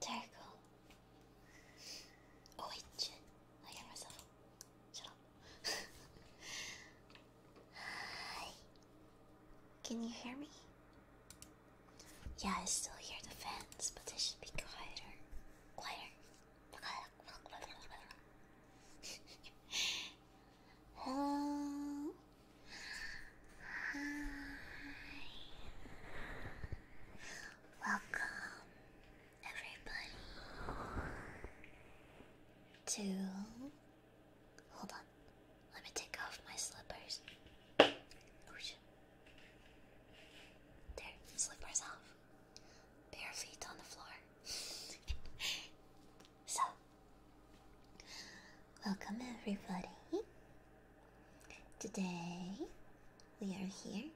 Terrible. Oh I hear myself. Shut up. Hi. Can you hear me? Yeah, I still hear the fans, but they should be quieter. Quieter. Hello. Hi. Welcome, everybody, to. Hold on. Let me take off my slippers. Oh, there, slippers off bare feet on the floor. so, welcome everybody. Today we are here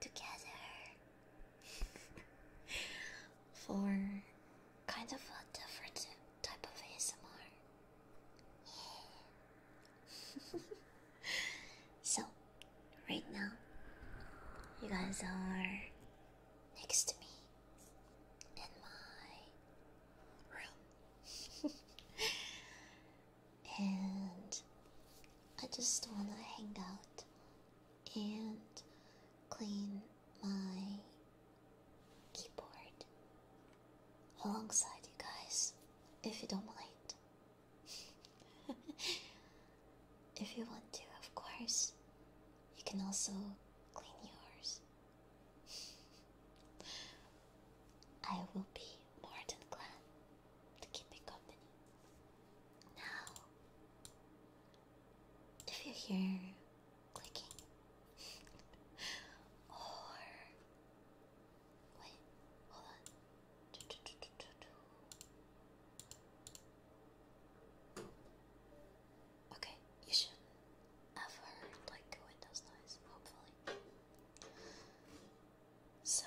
together for kind of a different type of ASMR. So, right now, you guys are next to me in my room. and I just want to hang out and clean my keyboard alongside you guys, if you don't mind if you want to, of course. You can also clean yours. I will be more than glad to keep you company. Now, if you hear clicking or wait, hold on. Okay, you should have heard like the windows noise, hopefully. So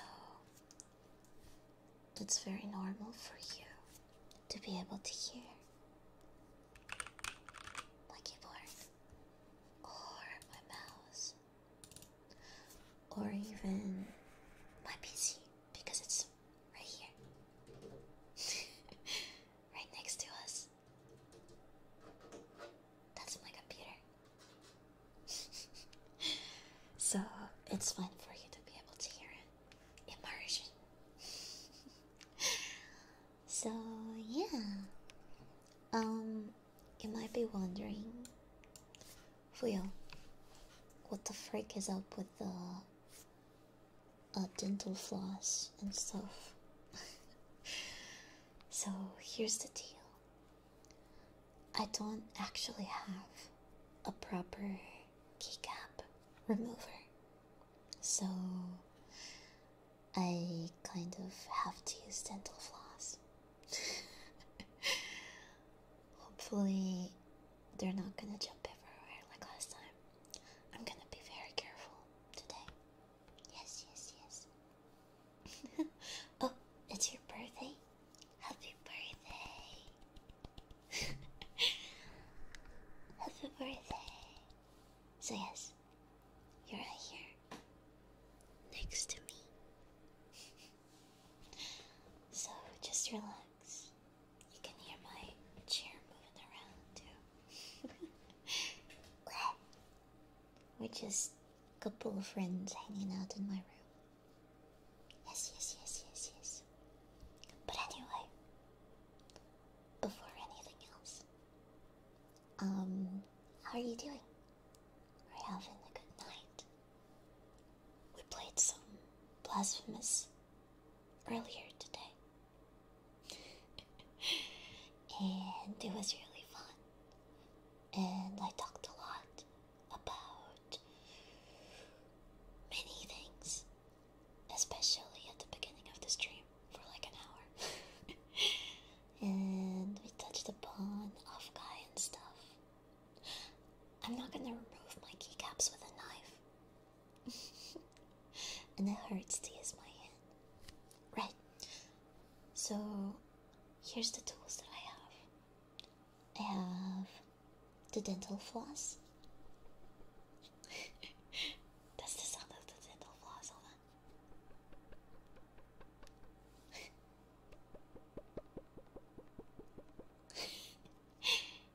it's very normal for you to be able to hear my keyboard or my mouse or even my PC because it's Right here. right next to us. That's my computer. so it's fun for you to be able to hear it. Immersion. so yeah. Um you might be wondering for What the frick is up with the uh, dental floss and stuff? so here's the deal I don't actually have a proper keycap remover. So I kind of have to use dental floss. Hopefully, they're not gonna jump everywhere like last time. I'm gonna be very careful today. Yes, yes, yes. oh, it's your birthday? Happy birthday! Happy birthday! So, yes, you're right here next to me. So just relax. You can hear my chair moving around too. We're just a couple of friends hanging out in my room. Yes, yes, yes, yes, yes. But anyway, before anything else, um, how are you doing? Are you having a good night? We played some Blasphemous earlier today. and it was really fun. And I talked a lot about many things, especially at the beginning of the stream for like an hour. and we touched upon off guy and stuff. I'm not gonna remove my keycaps with a knife. and it hurts to use my hand. Right. So here's the tools that I have. I have the dental floss. That's the sound of the dental floss, hold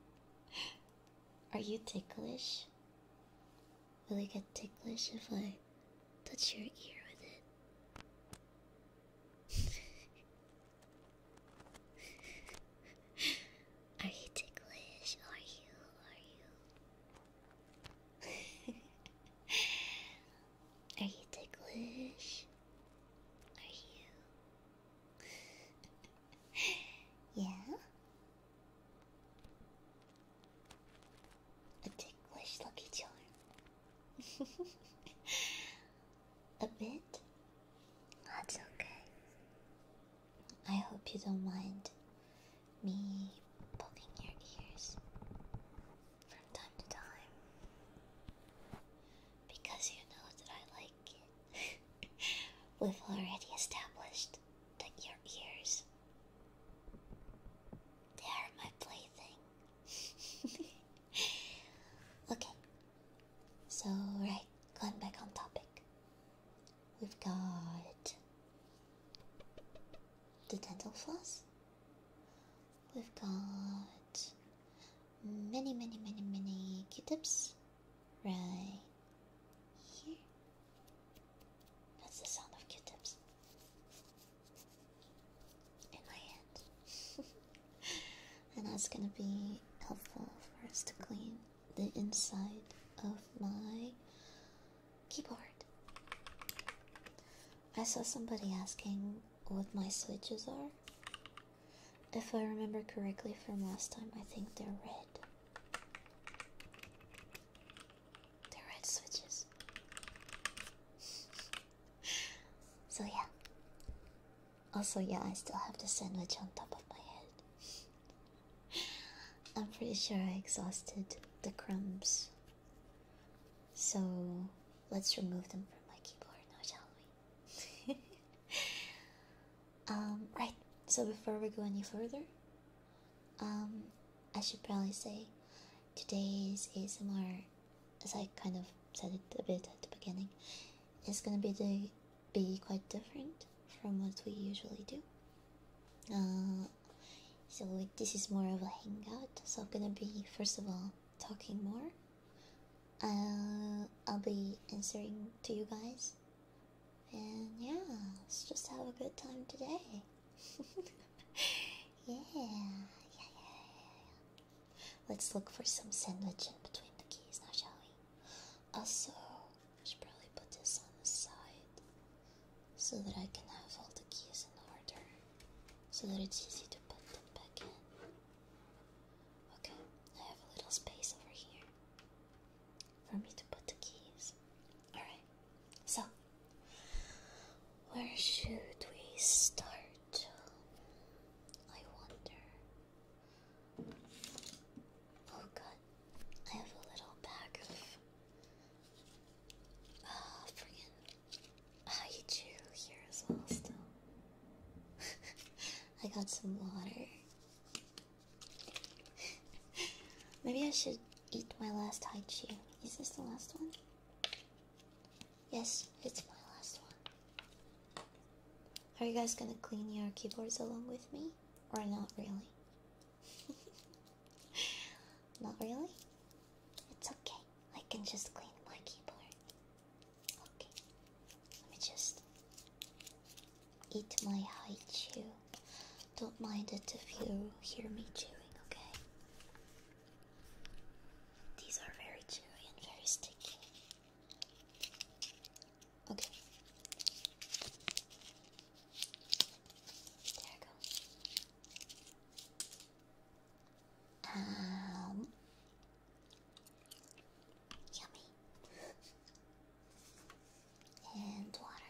Are you ticklish? Will I get ticklish if I touch your ear with it? Are you ticklish? Are you? Are you? Are you ticklish? Are you? yeah? A ticklish lucky charm. A bit? That's okay. I hope you don't mind me poking your ears from time to time because you know that I like it. We've already established that your ears they are my plaything. okay. So right, going back on topic. We've got the dental floss. We've got many, many, many, many Q-tips right here. That's the sound of Q-tips in my hand, and that's gonna be helpful for us to clean the inside of my keyboard. I saw somebody asking what my switches are. If I remember correctly from last time, I think they're red. They're red switches. so, yeah. Also, yeah, I still have the sandwich on top of my head. I'm pretty sure I exhausted the crumbs. So, let's remove them from my keyboard now, shall we? Um, right, so before we go any further, um, I should probably say today's ASMR, as I kind of said it a bit at the beginning, is gonna be the, be quite different from what we usually do. Uh, so this is more of a hangout. So I'm gonna be first of all talking more I'll be answering to you guys. And yeah, let's just have a good time today. yeah. Yeah, yeah, yeah, yeah. Let's look for some sandwich in between the keys now, shall we? Also, I should probably put this on the side so that I can have all the keys in order, so that it's easy to put them back in. Okay, I have a little space over here for me to put the keys. Alright, so where should we start? I wonder. Oh god, I have a little bag of. Ah, friggin' Haichu here as well, still. I got some water Maybe I should eat my last high Chi. Is this the last one? Yes, it's my last one. Are you guys gonna clean your keyboards along with me? Or not really? not really? It's okay. I can just clean my keyboard. Okay, let me just eat my high chew. Don't mind it if you hear me chewing, okay? These are very chewy and very sticky. Okay. There I go. Um, Yummy. and water.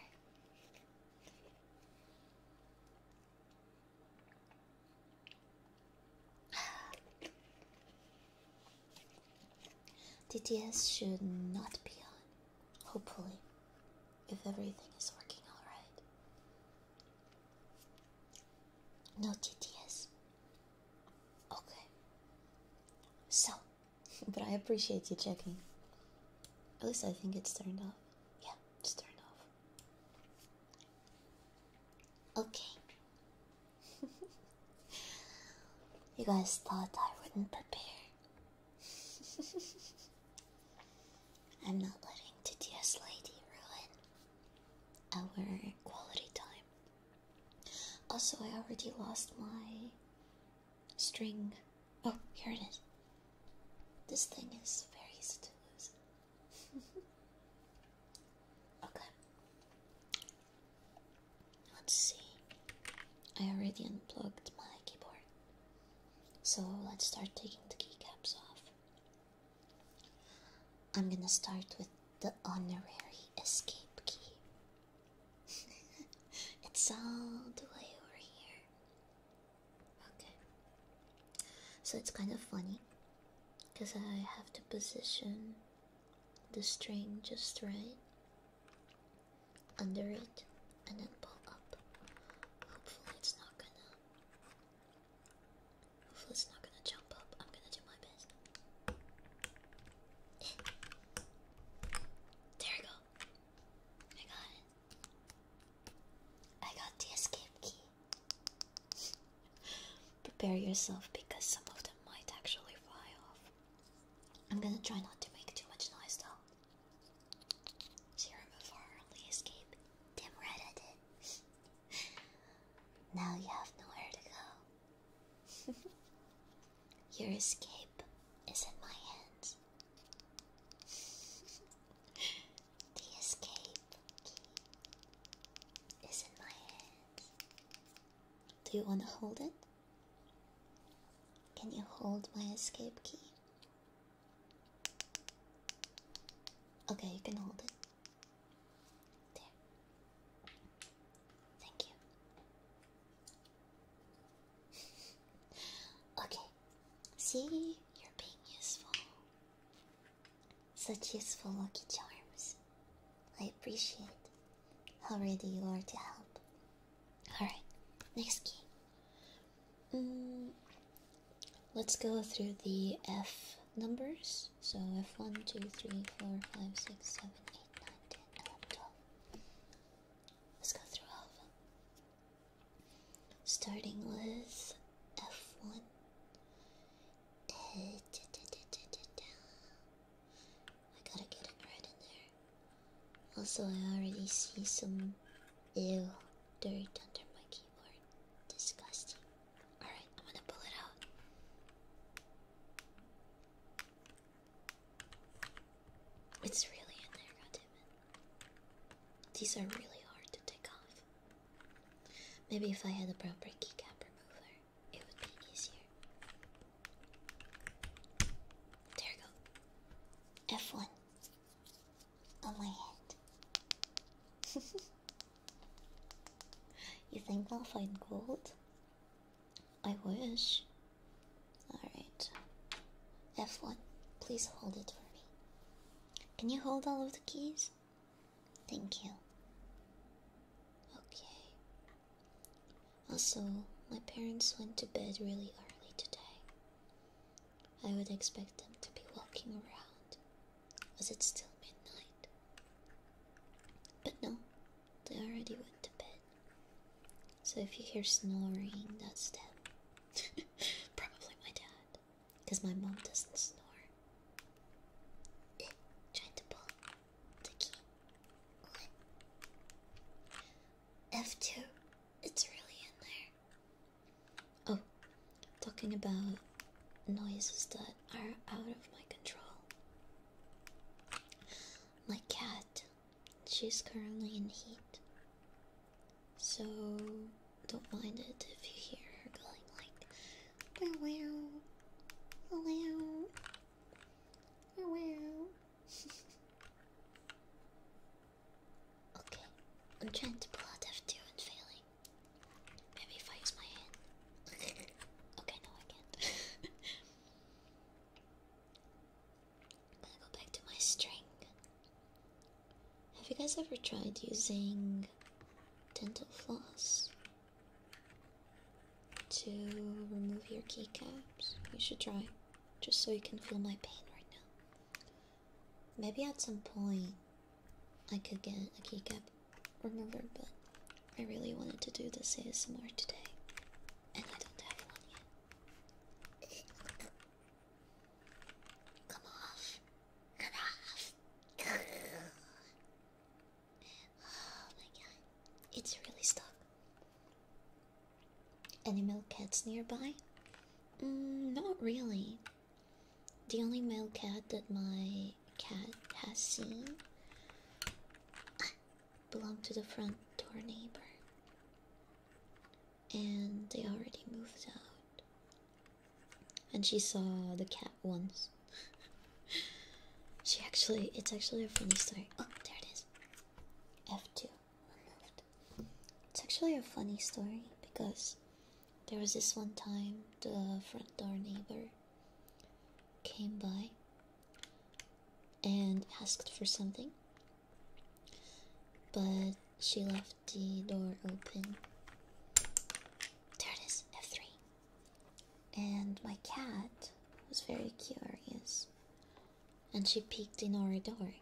DTS should not be on, hopefully, if everything is working alright. No TTS. Okay. So, but I appreciate you checking. At least I think it's turned off. Yeah, it's turned off. Okay. you guys thought I wouldn't prepare. I'm not letting Titia's lady ruin our quality time. Also, I already lost my string. Oh, here it is. This thing is very easy to lose. okay. Let's see. I already unplugged my keyboard. So let's start taking the keycaps off. I'm gonna start with the honorary escape key. it's all the way over here. Okay. So it's kind of funny because I have to position the string just right under it and then pull up. Hopefully it's not gonna Hopefully it's not gonna jump up. I'm gonna do my best there we go. I got it. I got the escape key. Prepare yourself because some of them might actually fly off. I'm gonna try not to make too much noise though. Serum of only escape. Damn right now you have nowhere to go. Your escape is in my hands. the escape is in my hands. Do you want to hold it? Can you hold my escape key? Okay, you can hold it. There. Thank you. okay, see, you're being useful. Such useful lucky charms. I appreciate how ready you are to help. Alright, next game. Mm, let's go through the F numbers. So F1, 2, 3, 4, 5, 6, 7, 8, 9, 10, 11, 12, Let's go through all of them. Starting with F1. I gotta get it right in there. Also, I already see some ew dirty under my keyboard. Disgusting. Alright, I'm gonna pull it out. It's really in there, goddammit. These are really hard to take off. Maybe if I had a proper keycap remover, it would be easier. There go. F1 on my head. you think I'll find gold? I wish. Alright. F1, please hold it for me. Can you hold all of the keys? Thank you. Okay. Also, my parents went to bed really early today. I would expect them to be walking around. Was it still midnight? But no, they already went to bed. So if you hear snoring, that's them. Probably my dad. Because my mom doesn't snore. Eh, tried to pull the key. F2. It's really in there. Oh, talking about noises that are out of my control. My cat she's currently in heat. So don't mind it if you hear her going like wow wow wow okay, I'm trying to pull out F2 and failing. Maybe if I use my hand. okay, no, I can't. I'm gonna go back to my string. Have you guys ever tried using dental floss to remove your keycaps? You should try, just so you can feel my pain right now. Maybe at some point I could get a keycap remover, but I really wanted to do this ASMR today. And I don't have one yet. Come off. Come off. oh my god. It's really stuck. Any male cats nearby? Mm, not really. The only male cat that my cat has seen. Belonged to the front door neighbor. And they already moved out. And she saw the cat once. she actually, it's actually a funny story. Oh, there it is. F2 removed. It's actually a funny story because there was this one time the front door neighbor came by and asked for something, but she left the door open. There it is, F3. And my cat was very curious, and she peeked in our door.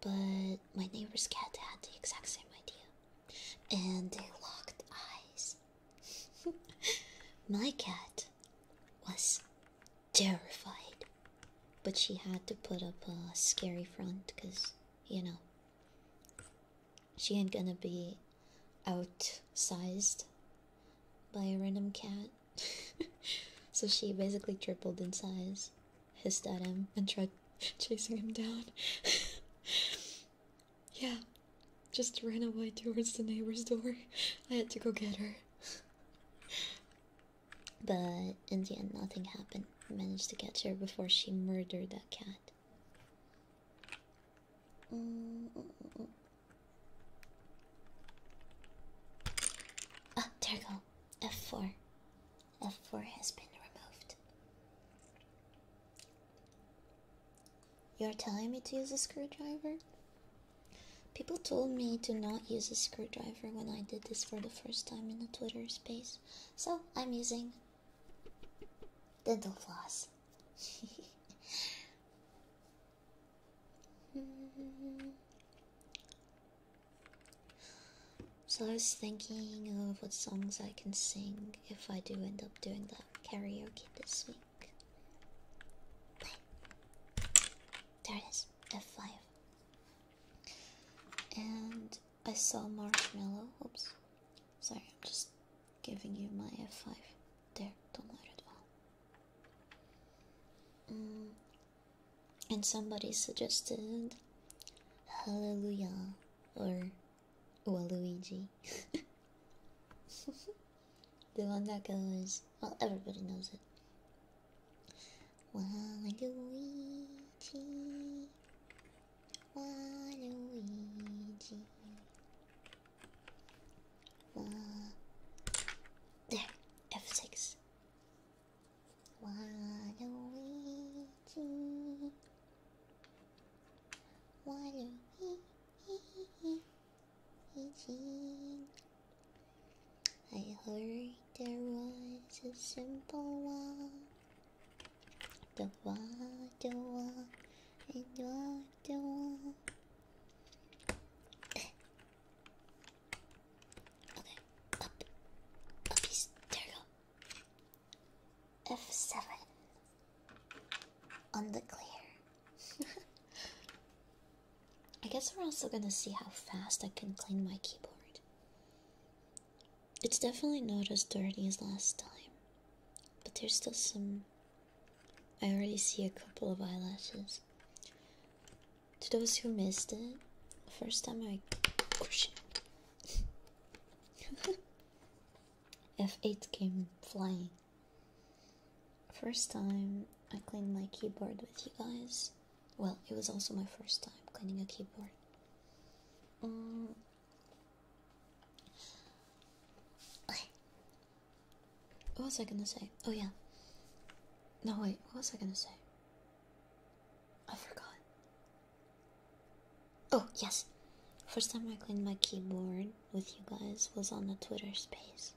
But my neighbor's cat had the exact same idea, and they locked eyes. my cat was terrified. But she had to put up a scary front because, you know, she ain't gonna be outsized by a random cat. so she basically tripled in size, hissed at him, and tried chasing him down. yeah, just ran away towards the neighbor's door. I had to go get her. But in the end, nothing happened. I managed to catch her before she murdered that cat. Mm, mm, mm, ah, there we go. F4. F4 has been removed. You're telling me to use a screwdriver? People told me to not use a screwdriver when I did this for the first time in the Twitter space, so I'm using dental floss. so I was thinking of what songs I can sing if I do end up doing that karaoke this week. There it is, F5. And I saw Marshmallow. Oops. Sorry, I'm just giving you my F5. There, don't let it fall. Mm. And somebody suggested Hallelujah or Waluigi. The one that goes, well, everybody knows it. Waluigi, Waluigi, Wa. There, F6. Waluigi, Waluigi. Eugene. I heard there was a simple one. The one, the one, and the one. okay, up, up, There you go. F seven on the clear. I guess we're also gonna see how fast I can clean my keyboard. It's definitely not as dirty as last time, but there's still some. I already see a couple of eyelashes. To those who missed it, first time I. F8 came flying. First time I cleaned my keyboard with you guys. Well, it was also my first time cleaning a keyboard. Mm. what was I gonna say? Oh, yeah. No, wait, what was I gonna say? I forgot. Oh, yes. First time I cleaned my keyboard with you guys was on the Twitter space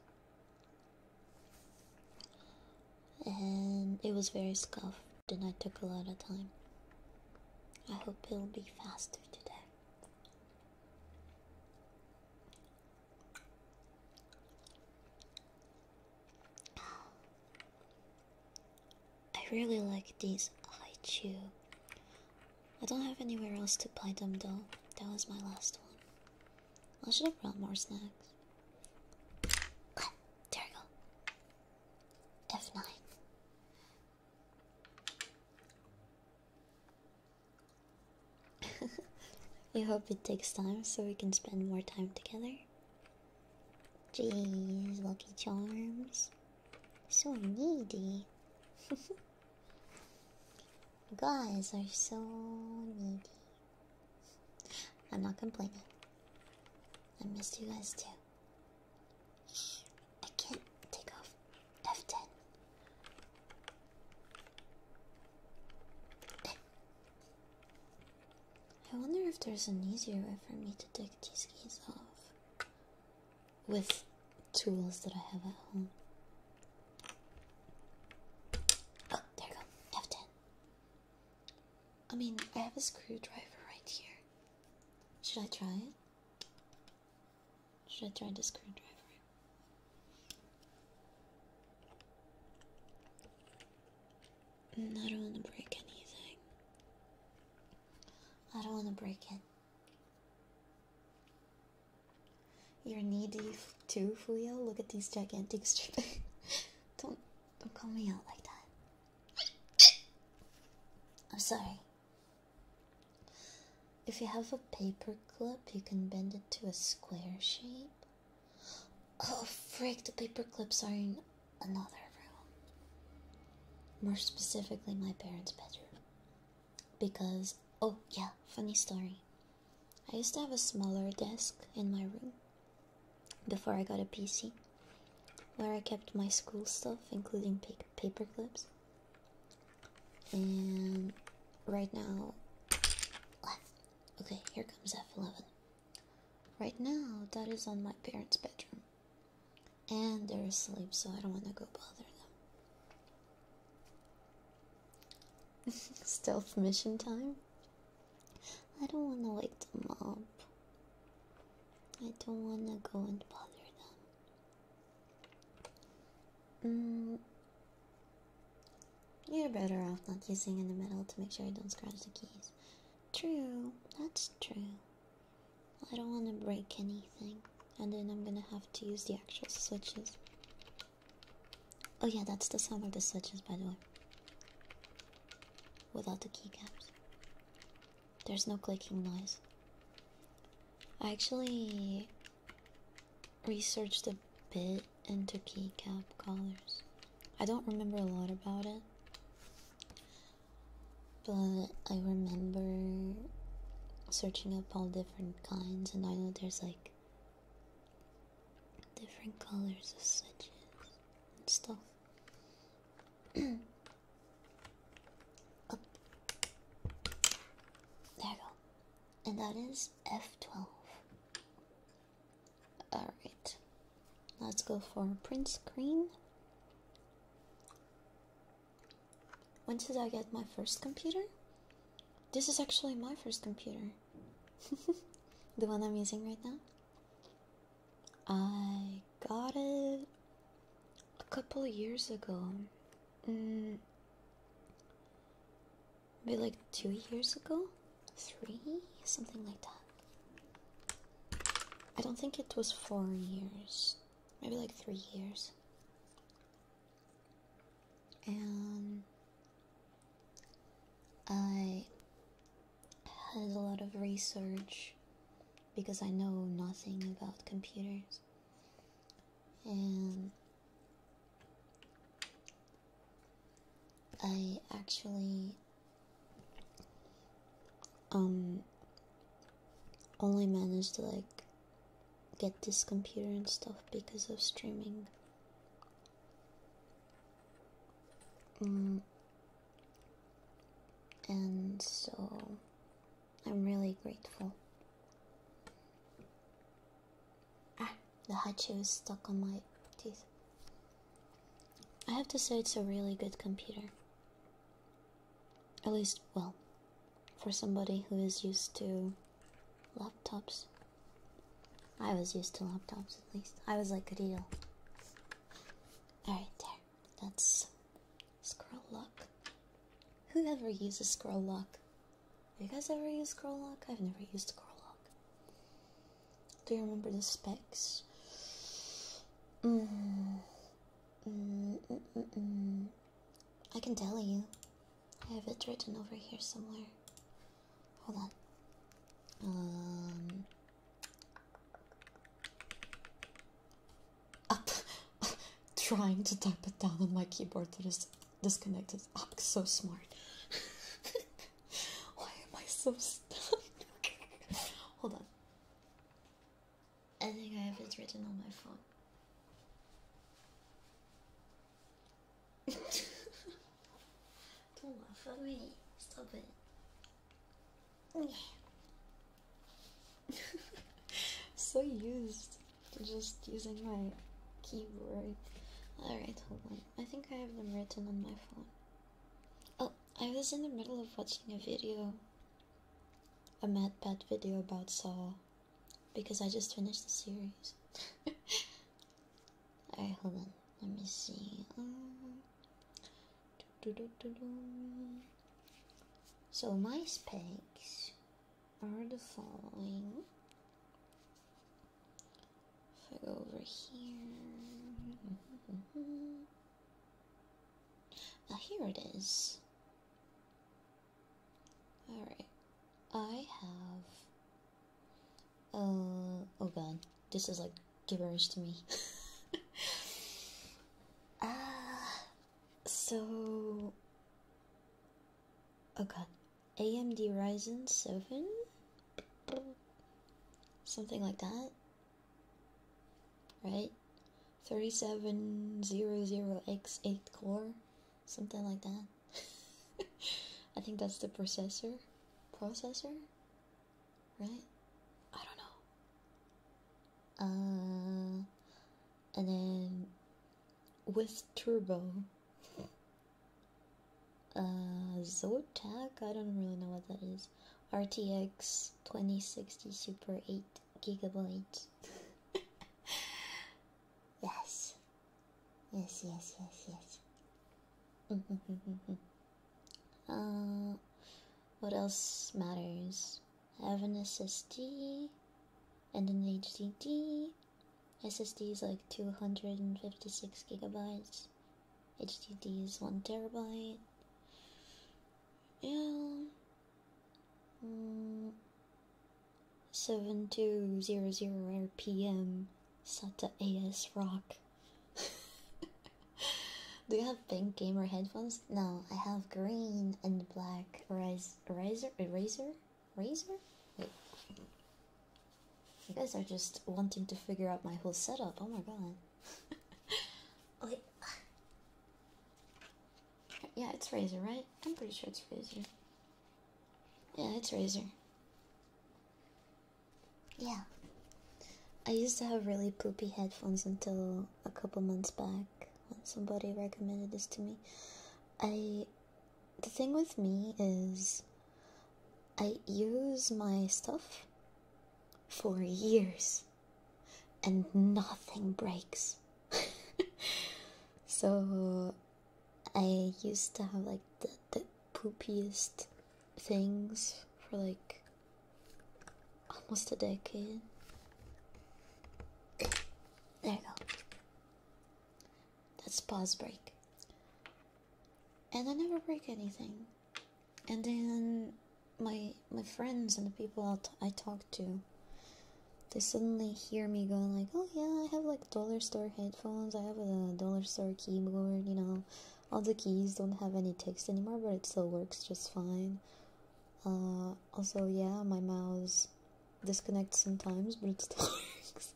and it was very scuffed and I took a lot of time. I hope it'll be faster today. I really like these I chew. I don't have anywhere else to buy them though. That was my last one. I should have brought more snacks. there we go. F9. I hope it takes time so we can spend more time together. Jeez, Lucky Charms. So needy. guys are so needy. I'm not complaining. I missed you guys too. I can't take off F10. I wonder if there's an easier way for me to take these keys off with tools that I have at home. Oh, there go. F10. I mean, I have a screwdriver right here. Should I try it? Should I try the screwdriver? I don't want to break anything. I don't want to break it. You're needy, too, Fuyo. Look at these gigantic strings. don't, don't call me out like that. I'm sorry. If you have a paper clip, you can bend it to a square shape. Oh, frick, the paper clips are in another room. More specifically, my parents' bedroom. Because, oh, yeah, funny story. I used to have a smaller desk in my room before I got a PC where I kept my school stuff, including paper clips. And right now, okay, here comes F11. Right now, that is on my parents' bedroom. And they're asleep, so I don't want to go bother them. Stealth mission time? I don't want to wake them up. I don't want to go and bother them. Mm. You're better off not using in the middle to make sure I don't scratch the keys. True, that's true. I don't want to break anything, and then I'm gonna have to use the actual switches. Oh yeah, that's the sound of the switches, by the way. Without the keycaps. There's no clicking noise. I actually researched a bit into keycap colors. I don't remember a lot about it. But I remember searching up all different kinds and I know there's like different colors of switches and stuff. There we go. And that is F12. Alright. Let's go for print screen. When did I get my first computer? This is actually my first computer. the one I'm using right now. I got it a couple years ago. Mm. maybe like two years ago? Three? Something like that. I don't think it was four years. Maybe like three years. And I had a lot of research because I know nothing about computers and I actually um, only managed to like get this computer and stuff because of streaming Mm. And so I'm really grateful. Ah, the hatchet is stuck on my teeth. I have to say, it's a really good computer. At least, well, for somebody who is used to laptops. I was used to laptops at least. I was like a deal. Alright, there. That's scroll lock. Who ever uses scroll lock? you guys ever use scroll lock? I've never used scroll lock. Do you remember the specs? Mm. Mm -mm -mm -mm. mm. I can tell you. I have it written over here somewhere. Hold on. Um. Up. Trying to type it down on my keyboard that is disconnected. I'm so smart. Why am I so stuck? Hold on. I think I have it written on my phone. Don't laugh at me. Stop it. so used to just using my keyboard. Alright, hold on. I think I have them written on my phone. Oh, I was in the middle of watching a video. A Mad Bat video about Saw. Because I just finished the series. Alright, hold on. Let me see. Um, so my specs are the following. If I go over here. Now oh, here it is. Alright. I have uh, oh god, this is like gibberish to me. Ah, so. Oh god, AMD Ryzen 7? Something like that? Right? 3700X8 core? Something like that? I think that's the processor. Processor? right? I don't know. Uh, and then with turbo, uh, Zotac. I don't really know what that is. RTX 2060 Super 8 gigabyte. yes. Yes, yes, yes, yes. Uh, what else matters? I have an SSD and an HDD. SSD is like 256 gigabytes. HDD is 1 terabyte. Yeah. Mm. 7200 RPM SATA AS Rock. Do you have pink gamer headphones? No, I have green and black raz razor eraser razor. Wait, you guys are just wanting to figure out my whole setup. Oh my god. okay. Yeah, it's razor, right? I'm pretty sure it's razor. Yeah, it's razor. Yeah. I used to have really poopy headphones until a couple months back when somebody recommended this to me. I. The thing with me is. I use my stuff for years and nothing breaks. so I used to have like the, poopiest things for like almost a decade. There you go. That's pause break. And I never break anything. And then my my friends and the people I, I talk to, they suddenly hear me going like, "Oh yeah, I have like dollar store headphones. I have a dollar store keyboard. You know, all the keys don't have any text anymore but it still works just fine uh, also yeah my mouse disconnects sometimes but it still works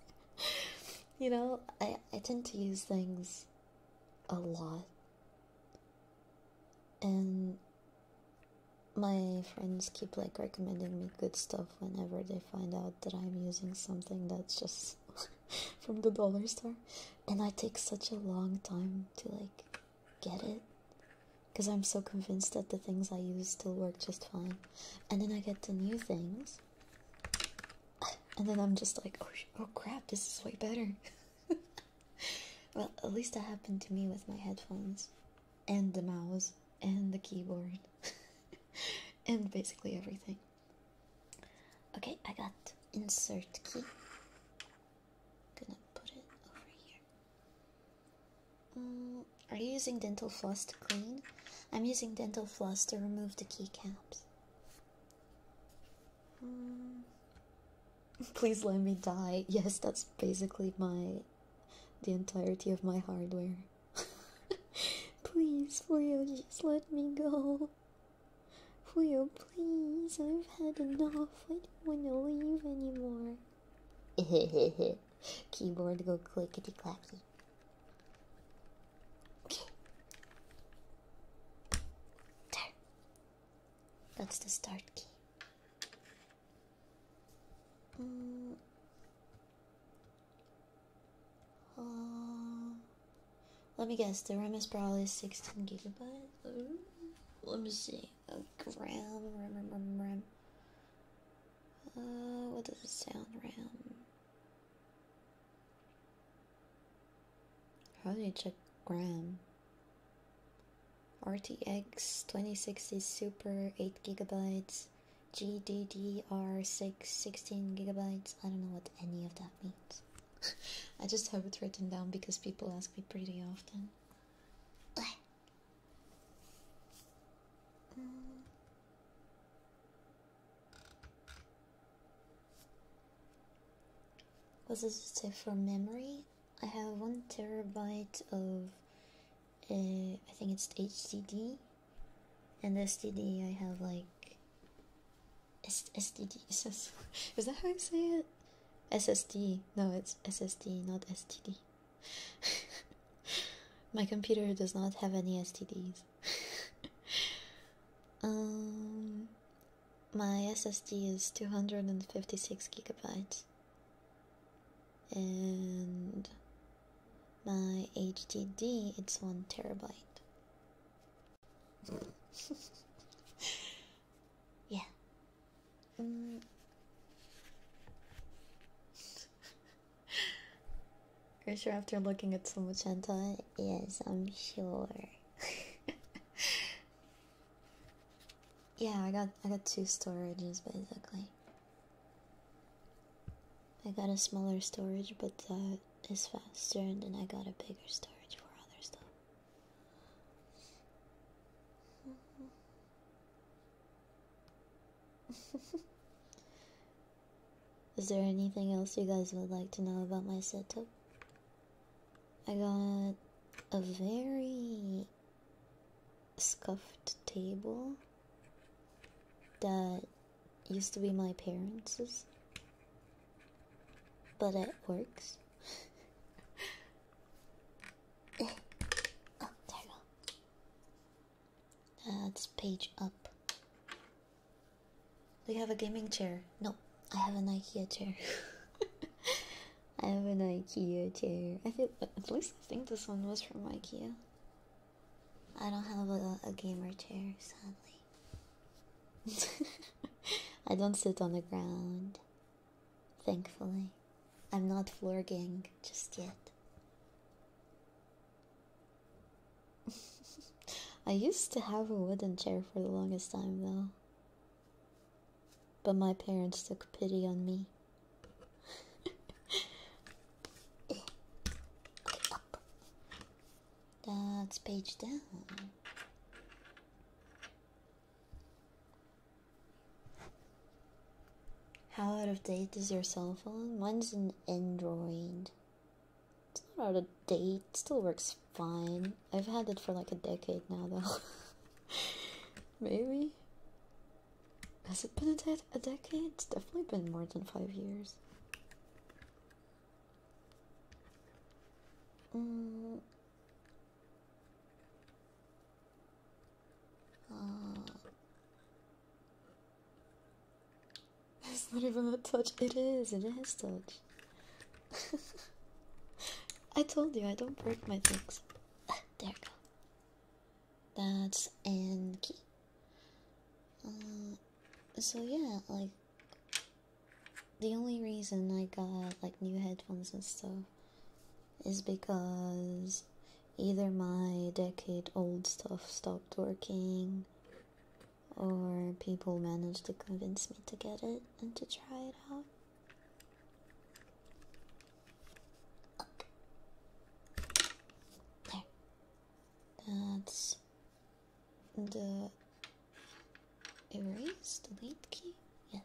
you know I, I tend to use things a lot and my friends keep like recommending me good stuff whenever they find out that I'm using something that's just from the dollar store and I take such a long time to like get it because I'm so convinced that the things I use still work just fine, and then I get the new things, and then I'm just like, oh, oh crap, this is way better. well, at least that happened to me with my headphones, and the mouse, and the keyboard, and basically everything. Okay, I got insert key. Gonna put it over here. Mm, are you using dental floss to clean? I'm using dental floss to remove the key caps. Mm. Please let me die. Yes, that's basically my the entirety of my hardware. Please, Leo, just let me go. Will, please, I've had enough. I don't want to leave anymore. Keyboard go clickety clacky. There. That's the start key. Mm. Uh. Let me guess, the RAM is probably 16 gigabytes. Let me see. A ram, ram, ram, uh, what does it sound, RAM? How do you check ram? RTX 2060 Super 8 gigabytes, gddr six sixteen gigabytes. I don't know what any of that means. I just have it written down because people ask me pretty often. Mm. What does it say for memory? I have one terabyte of, uh, I think it's HDD, and STD I have like S SDD. SS Is that how you say it? SSD. No, it's SSD, not STD. My computer does not have any STDs. um, my SSD is 256 gigabytes, and my HDD it's one terabyte. yeah. Mm. Are you sure after looking at so much hentai? Yes, I'm sure. yeah, I got I got two storages basically. I got a smaller storage, but that uh, is faster, and then I got a bigger storage for other stuff. Is there anything else you guys would like to know about my setup? I got a very scuffed table that used to be my parents' but it works. oh, there we go. Uh, That's page up. We have a gaming chair. No, I have an IKEA chair. I have an IKEA chair. I feel at least I think this one was from IKEA. I don't have a gamer chair, sadly. I don't sit on the ground, thankfully. I'm not florging just yet. I used to have a wooden chair for the longest time, though. But my parents took pity on me. That's page down. How out of date is your cell phone? Mine's an Android. It's not out of date, still works fine. I've had it for like a decade now, though. Maybe? Has it been a decade? It's definitely been more than five years. Mm. Uh. It's not even a touch. It is. It is touch. I told you I don't break my things. Ah, there we go. That's and uh, so yeah, like the only reason I got like new headphones and stuff is because either my decade old stuff stopped working or people managed to convince me to get it and to try it out. That's uh, the erase, delete key? Yes.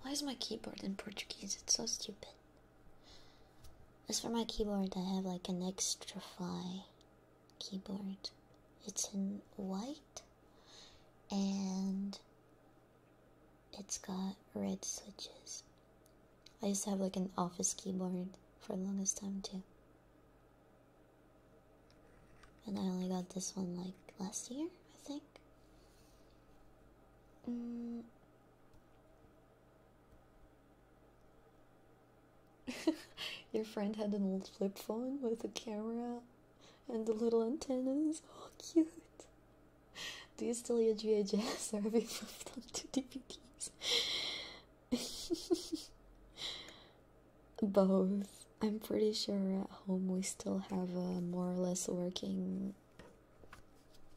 Why is my keyboard in Portuguese? It's so stupid. As for my keyboard, I have like an extra fly keyboard. It's in white and it's got red switches. I used to have like an office keyboard for the longest time too. And I only got this one like last year, I think. Mm. Your friend had an old flip phone with a camera and the little antennas. Oh, cute! Do you GHS are VHS or have moved on DVDs? both. I'm pretty sure at home we still have a more or less working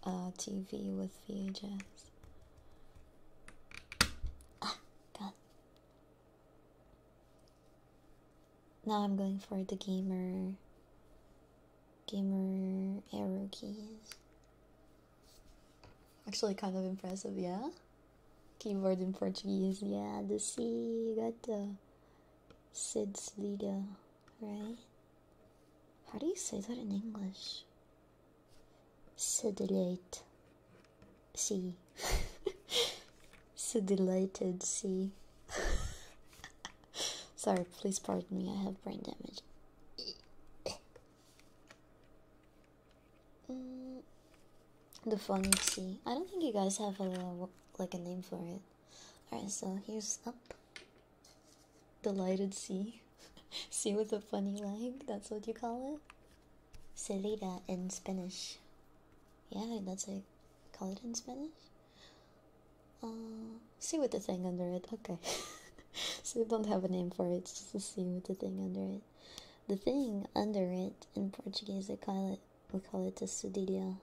uh, TV with VHS. Ah, now I'm going for the gamer, gamer arrow keys. Actually, kind of impressive, yeah. Keyboard in Portuguese, yeah. The C, got the. Sid's leader, right? How do you say that in English? Sedulate. See. Sedulated see. Sorry, please pardon me, I have brain damage. Mm the funny sea. I don't think you guys have a like a name for it. Alright, so here's up. Delighted sea. sea with a funny leg, that's what you call it. Celida in Spanish. Yeah, that's how call it in Spanish. Uh, sea with the thing under it. Okay. so we don't have a name for it, it's just the sea with the thing under it. The thing under it in Portuguese they call it we call it the a cedilla.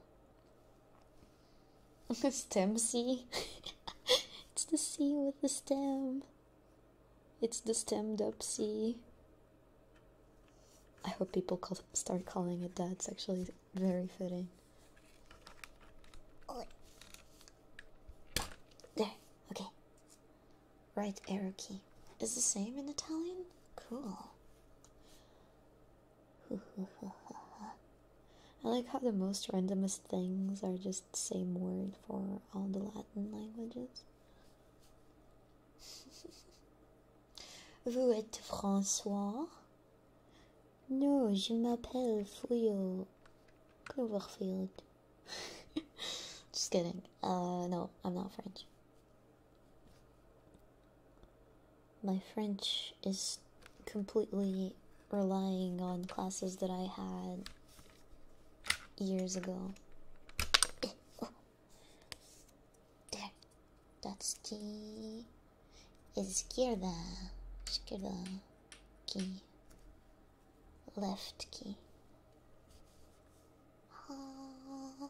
stem sea. it's the sea with the stem. It's the stemmed up sea. I hope people call, start calling it that. It's actually very fitting. There, okay. Right arrow key. Is the same in Italian? Cool. I like how the most randomest things are just the same word for all the Latin languages. Vous êtes François? No, je m'appelle Fuyo Cloverfield. just kidding. Uh, no, I'm not French. My French is completely relying on classes that I had years ago. There. That's the izquierda. Izquierda key. Left key. Ah.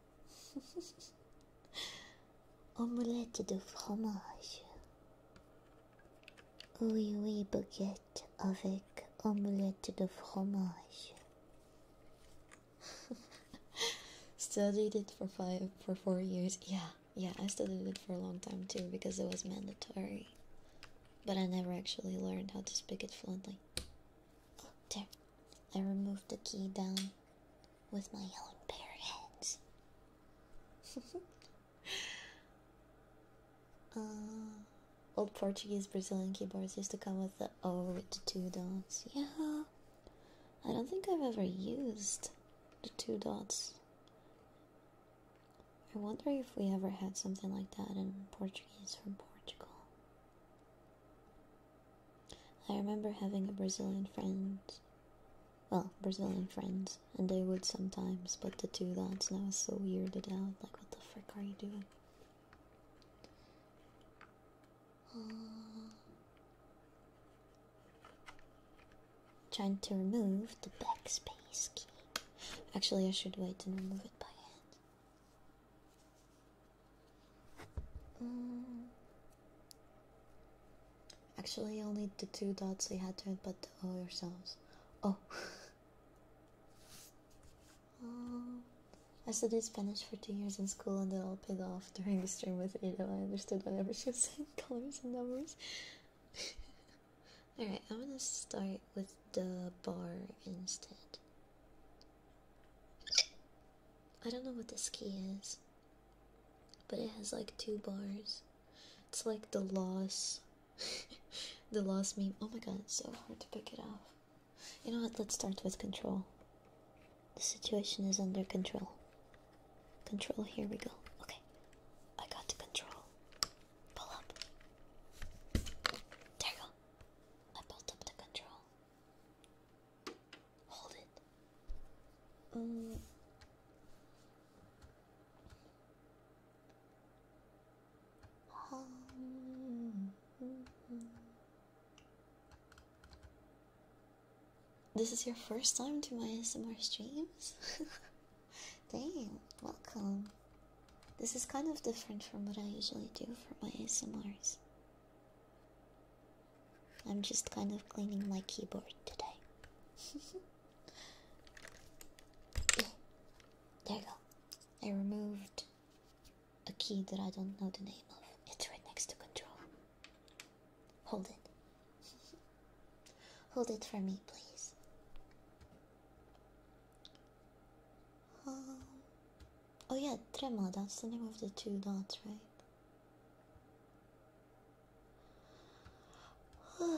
Omelette de fromage. Oui, oui, baguette avec omelette de fromage. studied it for five, for four years. Yeah, yeah, I studied it for a long time too because it was mandatory. But I never actually learned how to speak it fluently. I removed the key down with my own bare hands. Uh, old Portuguese Brazilian keyboards used to come with the O with the two dots. Yeah, I don't think I've ever used the two dots. I wonder if we ever had something like that in Portuguese from Portugal. I remember having a Brazilian friend, well, Brazilian friends, and they would sometimes but the two dots, and I was so weirded out, like, what the frick are you doing? Uh, trying to remove the backspace key. Actually, I should wait and remove it by hand. Um, actually, only the two dots we had to input the O yourselves. Oh. Um, I studied Spanish for two years in school and then I'll pig off during the stream with you. Ada. I understood whenever she was saying colors and numbers. Alright, I'm gonna start with the bar instead. I don't know what this key is, but it has like two bars. It's like the loss, the lost meme. Oh my god, it's so hard to pick it up. You know what? Let's start with control. The situation is under control. Control, here we go. Okay, I got to control. Pull up. There go. I pulled up the control. Hold it. Um. This is your first time to my ASMR streams? Dang, welcome. This is kind of different from what I usually do for my ASMRs. I'm just kind of cleaning my keyboard today. There you go. I removed a key that I don't know the name of. It's right next to control. Hold it. Hold it for me, please. Um, Oh, yeah, tremor. that's the name of the two dots, right?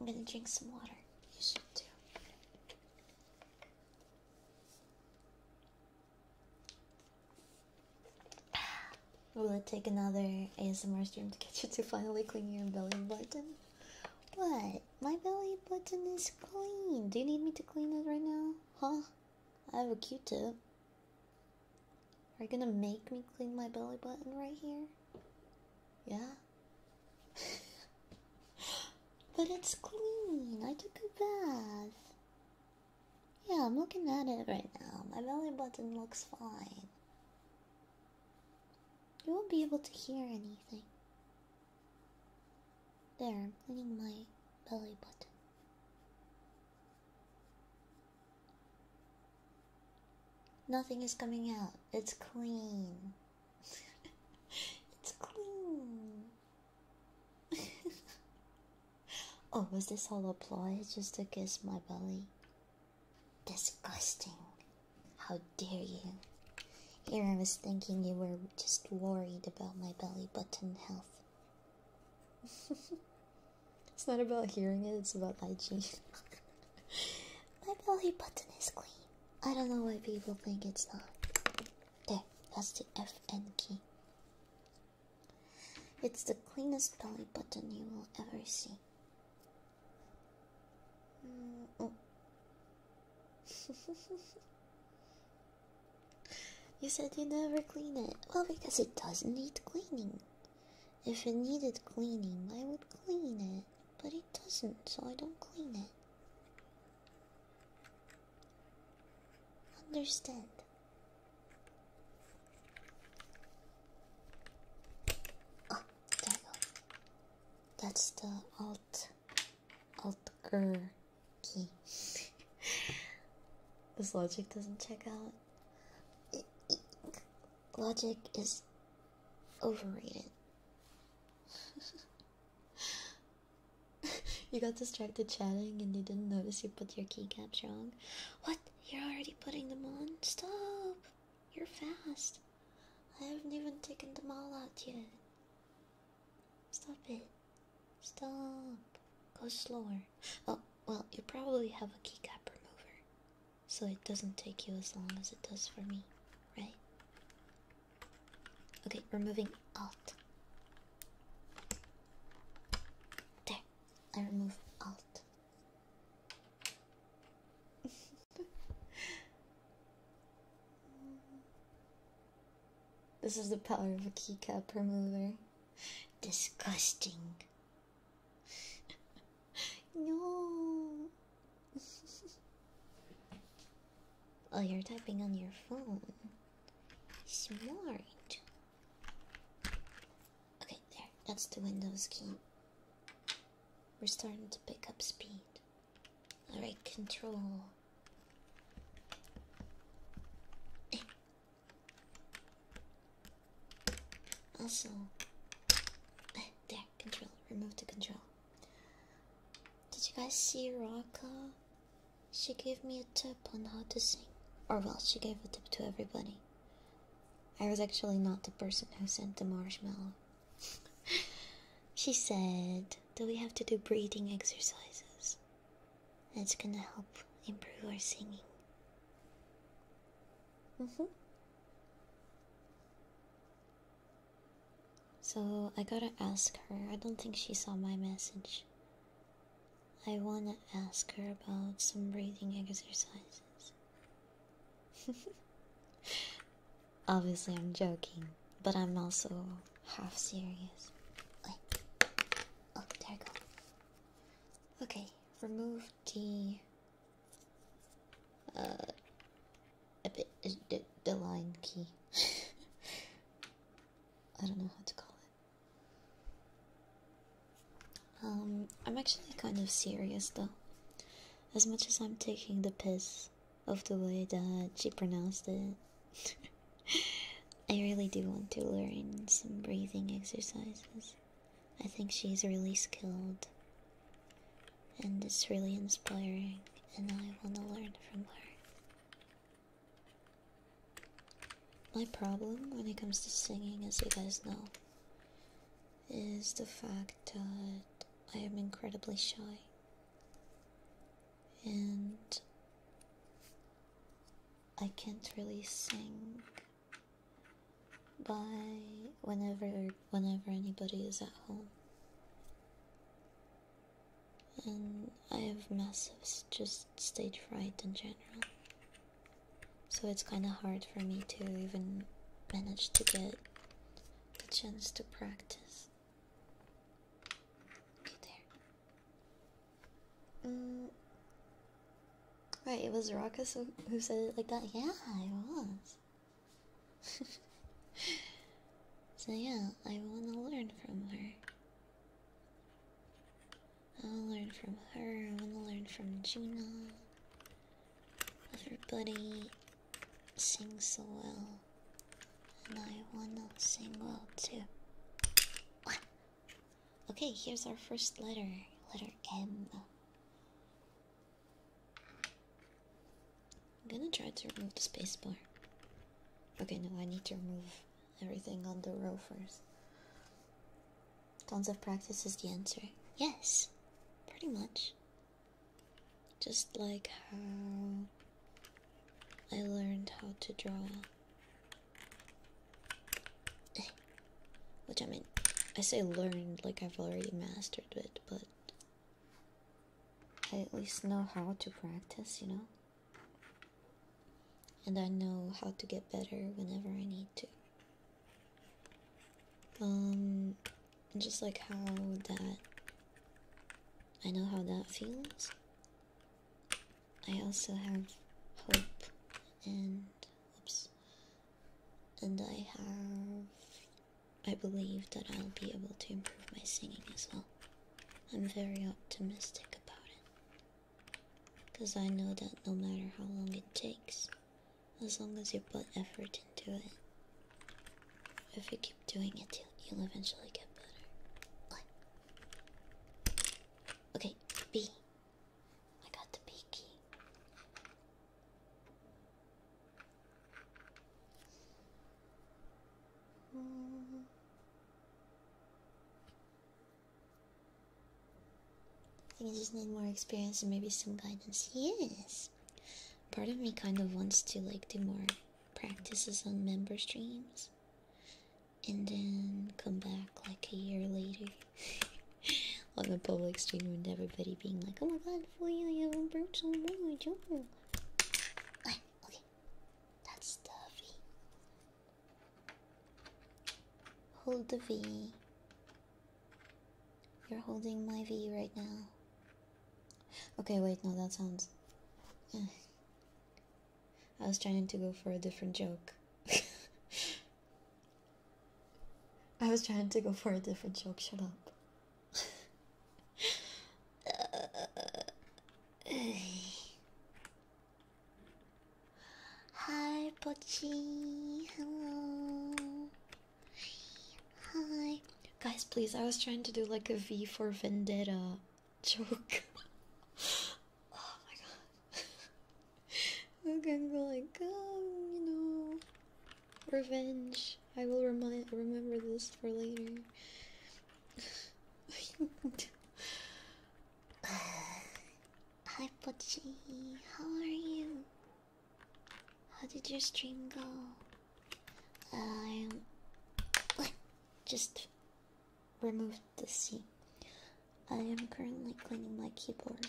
I'm gonna drink some water. You should too. Will it take another ASMR stream to get you to finally clean your belly button? What? My belly button is clean. Do you need me to clean it right now? Huh? I have a Q-tip. Are you gonna make me clean my belly button right here? Yeah? but it's clean. I took a bath. Yeah, I'm looking at it right now. My belly button looks fine. You won't be able to hear anything. There, I'm cleaning my belly button. Nothing is coming out. It's clean. it's clean. oh, was this all a ploy just to kiss my belly? Disgusting. How dare you? Here I was thinking you were just worried about my belly button health. it's not about hearing it, it's about hygiene. my belly button is clean. I don't know why people think it's not. There, that's the FN key. It's the cleanest belly button you will ever see. Mm oh. you said you never clean it. Well, because it doesn't need cleaning. If it needed cleaning, I would clean it. But it doesn't, so I don't clean it. Understand. Oh, That's the alt Altger key. this logic doesn't check out. Logic is overrated. you got distracted chatting and you didn't notice you put your keycaps wrong. What? You're already putting them on? Stop! You're fast. I haven't even taken them all out yet. Stop it. Stop. Go slower. Oh, well, you probably have a keycap remover, so it doesn't take you as long as it does for me, right? Okay, removing Alt. There, I remove Alt. This is the power of a keycap remover. Disgusting. no. oh, you're typing on your phone. Smart. Okay, there. That's the Windows key. We're starting to pick up speed. Alright, control. also, there, control. Remove the control. Did you guys see Raka? She gave me a tip on how to sing. Or, well, she gave a tip to everybody. I was actually not the person who sent the marshmallow. she said, do we have to do breathing exercises. It's gonna help improve our singing. Mm-hmm. So I gotta ask her. I don't think she saw my message. I wanna ask her about some breathing exercises. Obviously, I'm joking, but I'm also half serious. Oh, okay, remove the uh, a bit, the, the line key. I don't know how to call it. Um, I'm actually kind of serious though. As much as I'm taking the piss, of the way that she pronounced it. I really do want to learn some breathing exercises. I think she's really skilled and it's really inspiring, and I want to learn from her. My problem when it comes to singing, as you guys know, is the fact that I am incredibly shy and I can't really sing by whenever whenever anybody is at home. And I have massive just stage fright in general. So it's kind of hard for me to even manage to get a chance to practice. Okay, there right, mm. it was Ruckus who said it like that. Yeah, it was. so yeah, I want to learn from her. I want to learn from her. I want to learn from Juno. Everybody sings so well and I wanna sing well too. Okay, here's our first letter, letter M. I'm gonna try to remove the spacebar. Okay, no, I need to remove everything on the row first. Tons of practice is the answer. Yes, pretty much. Just like how I learned how to draw. Eh. Which I mean, I say learned like I've already mastered it, but I at least know how to practice, you know? And I know how to get better whenever I need to. Um, just like how that. I know how that feels. I also have hope and oops and I have I believe that I'll be able to improve my singing as well. I'm very optimistic about it because I know that no matter how long it takes, as long as you put effort into it, if you doing it you'll eventually get better. Okay, B. I got the B key. I think I just need more experience and maybe some guidance. Yes. Part of me kind of wants to like do more practices on member streams and then come back like a year later on the public stream with everybody being like, oh my god, for you, you haven't brought so much. Oh okay, that's the Hold the V. You're holding my V right now. Okay, wait, no, that sounds. Eh. I was trying to go for a different joke. I was trying to go for a different joke, shut up. Hi, Pochi. Hello. Hi. Guys, please, I was trying to do like a V for Vendetta joke. oh my god. I'm go like, oh, you know, revenge. I will remind remember this for later. Hi, Pochi. How are you? How did your stream go? Um, just removed the C. I am currently cleaning my keyboard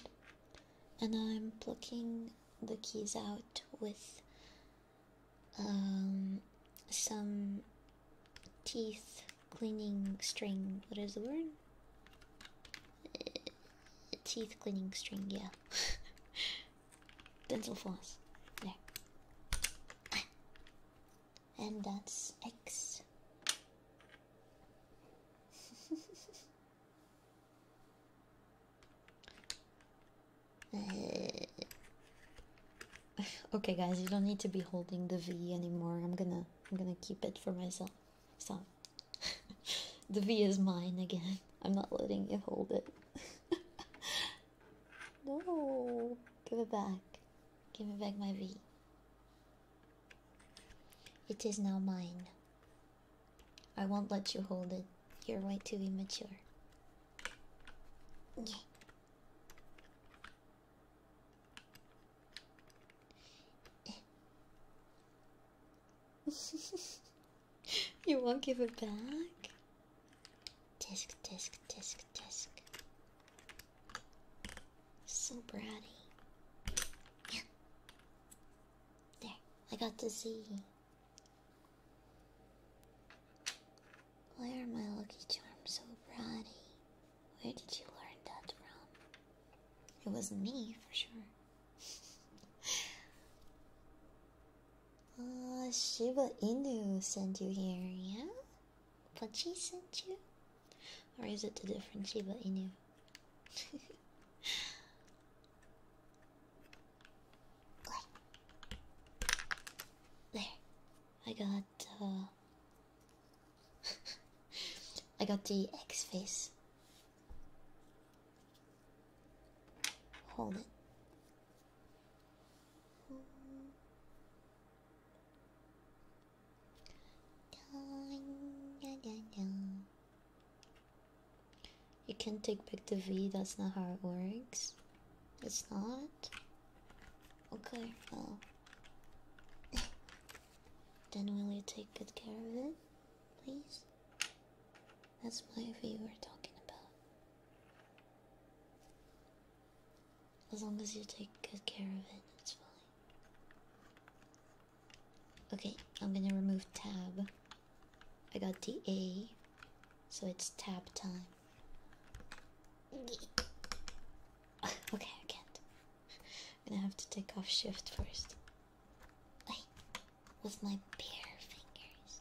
and I'm plucking the keys out with um, some teeth cleaning string. What is the word? teeth cleaning string, yeah. Dental floss. There and that's X. Uh, okay, guys, you don't need to be holding the V anymore. I'm gonna, I'm gonna keep it for myself. Stop. the V is mine again. I'm not letting you hold it. no, give it back. Give me back my V. It is now mine. I won't let you hold it. You're way too immature. Yeah. you won't give it back? Tisk, tisk, tisk, tisk. So bratty. There, I got to see. Why are my lucky charms so bratty? Where did you learn that from? It wasn't me, for sure. Ah, Shiba Inu sent you here, yeah? Pluchie sent you? Or is it a different Shiba Inu? there, I got. Uh, I got the X face. Hold it. You can't take back the V, that's not how it works. It's not? Okay, well. then will you take good care of it, please? That's my V we're talking about. As long as you take good care of it, it's fine. Okay, I'm gonna remove tab. I got the A, so it's tab time. Okay, I can't. I'm gonna have to take off shift first. with my bare fingers.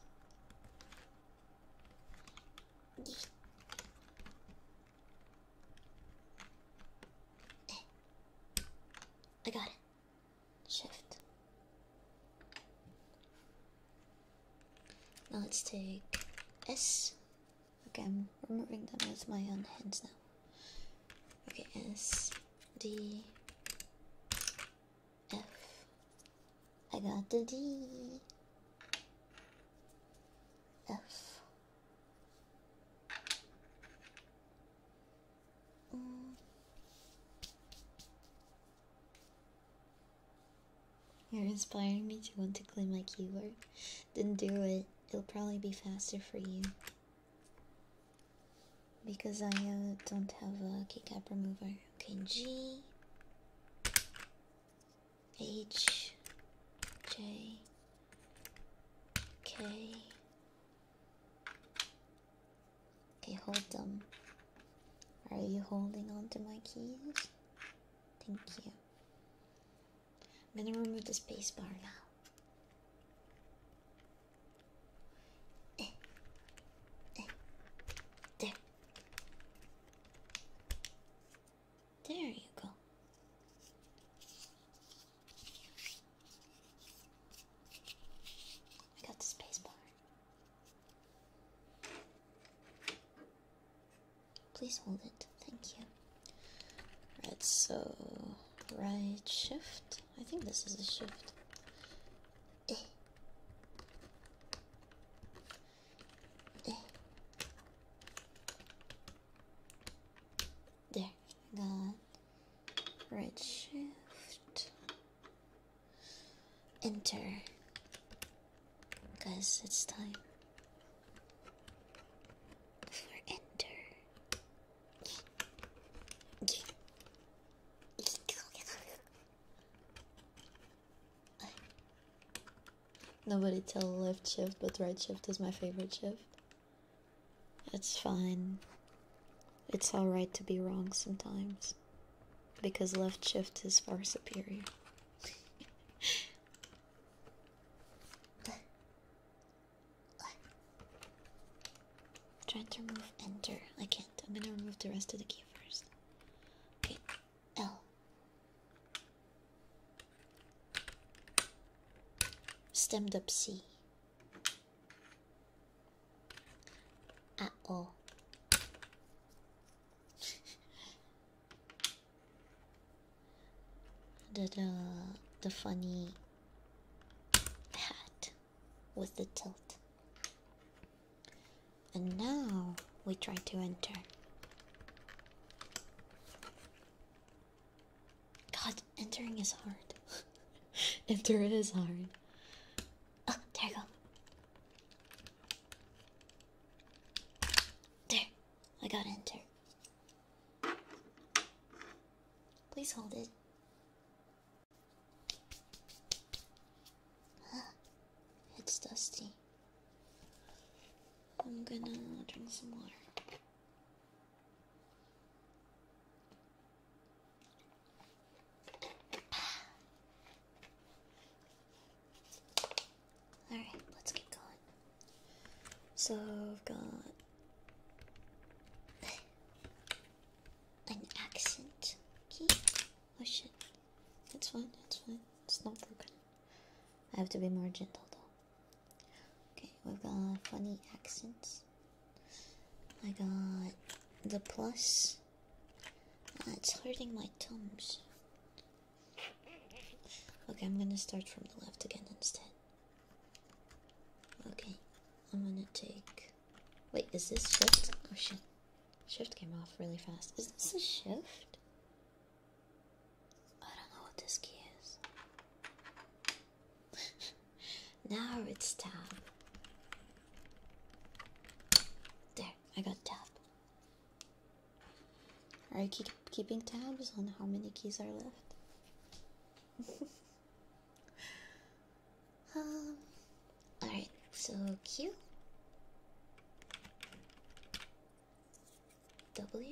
I got it. Shift. Now let's take S. Okay, I'm removing them with my own hands now. Okay, S, D, F. I got the D. F. You're inspiring me to want to clean my keyboard. Then do it. It'll probably be faster for you. Because I uh, don't have a keycap remover. Okay, G. H J K. Okay, hold them. Are you holding on to my keys? Thank you. I'm gonna remove the spacebar now. Eh. Eh. There. There you go. I got the Please hold it. Thank you. Right, so right shift. I think this is a shift. Eh. Eh. There, then redshift, enter, because it's time for enter. Nobody tell left shift, but right shift is my favorite shift. It's fine. It's alright to be wrong sometimes. Because left shift is far superior. Trying to remove enter. I can't. I'm gonna remove the rest of the key first. L stemmed up C. At all. the, the, the funny hat with the tilt. And now we try to enter. God, entering is hard. Enter is hard. Oh, there you go. There, I got enter. Please hold it. It's dusty. I'm gonna drink some water. Alright, let's get going. So I've got an accent key. Oh shit. It's fine, it's fine. It's not broken. I have to be more gentle though. Okay, we've got funny accents. I got the plus. Uh, it's hurting my thumbs. Okay, I'm gonna start from the left again instead. Okay, I'm gonna take. Wait, is this shift? Oh shit. Shift came off really fast. Is this a shift? I don't know what this key is. now it's tab. There, I got tab. Are you keep keeping tabs on how many keys are left? um, Alright, so Q. W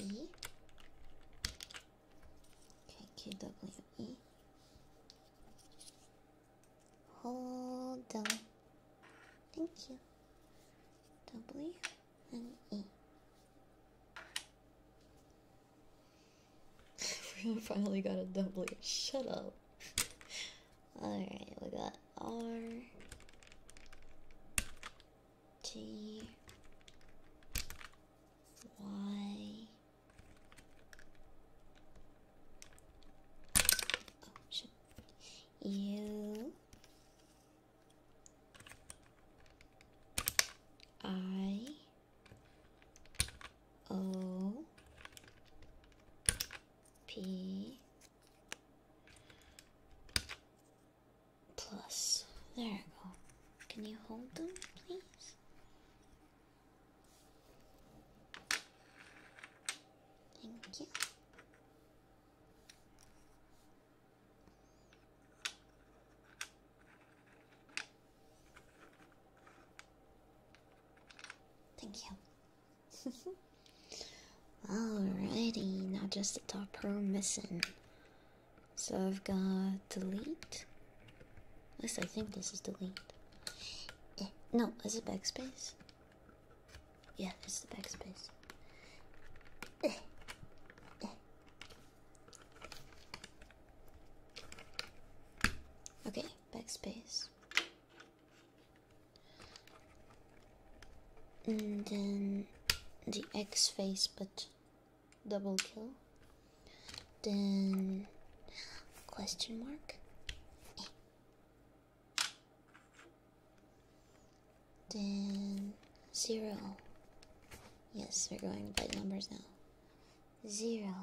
E K Q W E Hold on. Thank you. W and E. We Finally got a W. Shut up. Alright, we got R, T, Y, U, I, O, P. Plus, there you go. Can you hold them, please? Thank you. Thank you. Alrighty, now just the top row missing. So I've got delete. This I think this is delete. Eh, no, is it backspace? Yeah, it's the backspace. Eh, eh. Okay, backspace and then the X face but double kill then question mark then zero yes we're going by numbers now zero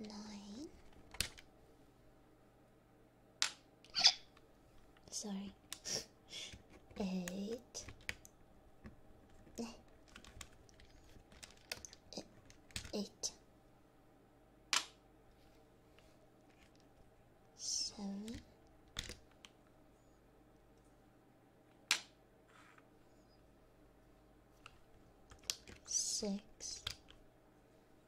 nine Sorry. Eight. Eight. Seven. Six.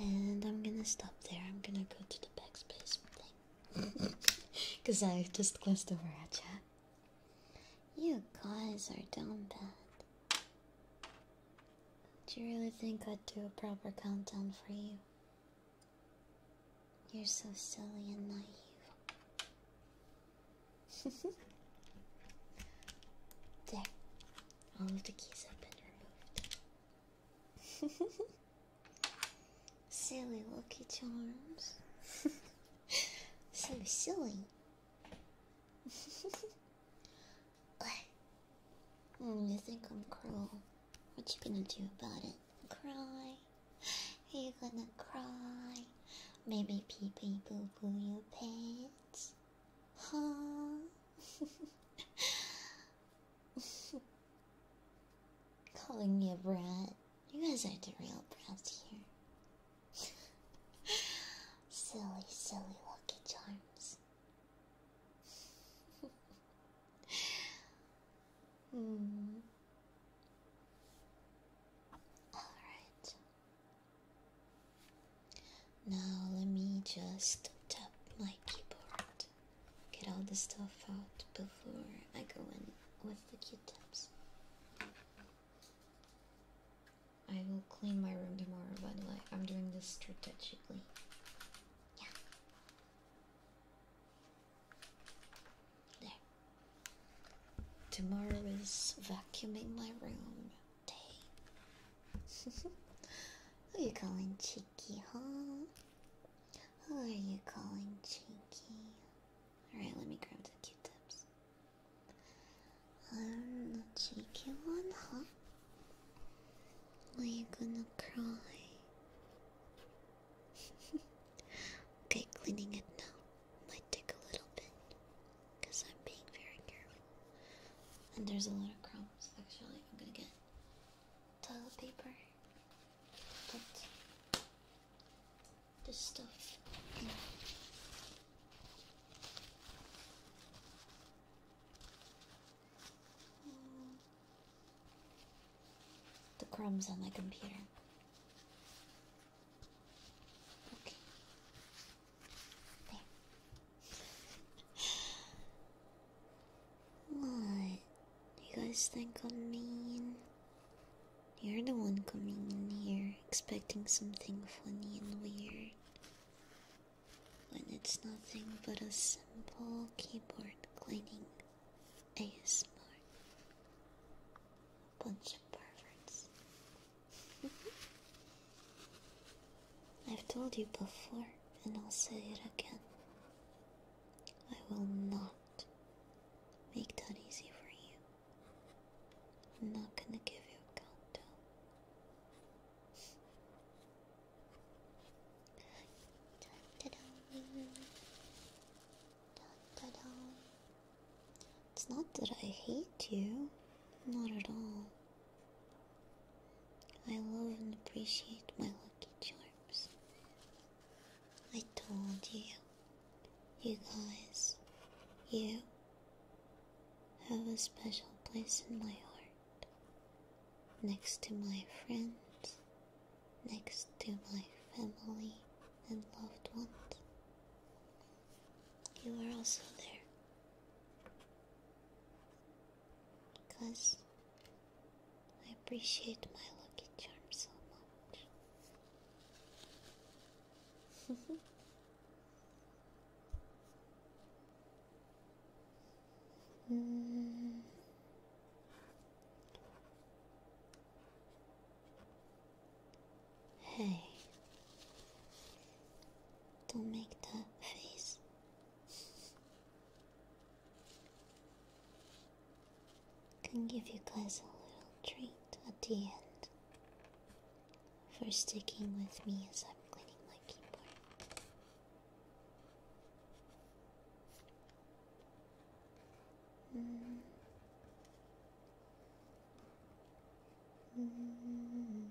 And I'm gonna stop there. I'm gonna go to the backspace thing. Because I just glanced over at you. You guys are down bad. Do you really think I'd do a proper countdown for you? You're so silly and naive. there. All of the keys have been removed. silly lucky charms. so silly. mm, you think I'm cruel? What you gonna do about it? Cry? Are you gonna cry? Maybe pee pee boo boo your pants? Huh? Calling me a brat. You guys are the real brats here. silly, silly lucky charms. mm. Alright. Now let me just tap my keyboard. Get all the stuff out before I go in with the Q-tips. I will clean my room tomorrow, by the way. I'm doing this strategically. Yeah. There. Tomorrow is vacuuming my room. Who are you calling cheeky, huh? Who are you calling cheeky? Alright, let me grab the q tips. I'm um, the cheeky one, huh? Are you gonna cry? okay, cleaning it now. Might take a little bit because I'm being very careful. And there's a lot of crumbs, actually. I'm gonna get toilet paper. Put this stuff The crumbs on my computer. Okay. What? You guys think I'm mean? You're the one coming in here expecting something funny and weird. When it's nothing but a simple keyboard cleaning A smart bunch of perverts. Mm-hmm. I've told you before, and I'll say it again. I will not make that easy for you. I'm not gonna give you a countdown. It's not that I hate you, not at all. I love and appreciate my lucky charms. I told you, you guys, you have a special place in my heart. Next to my friends, next to my family and loved ones. You are also there because I appreciate my lucky charm so much. Hmm. Hey, don't make that face. And give you guys a little treat at the end for sticking with me as I'm cleaning my keyboard. Mm. Mm.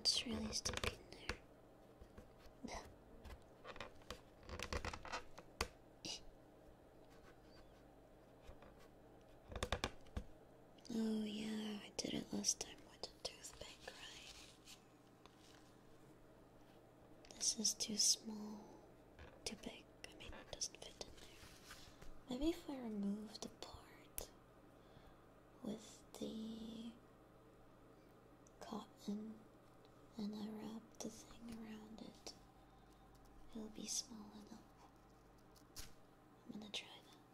it's really stuck in there. oh yeah, I did it last time with a toothpick, right? This is too small, too big maybe it doesn't fit in there. Maybe if I remove the part with the cotton and I wrap the thing around it, it'll be small enough. I'm gonna try that.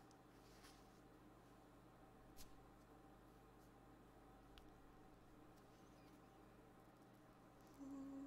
Hmm.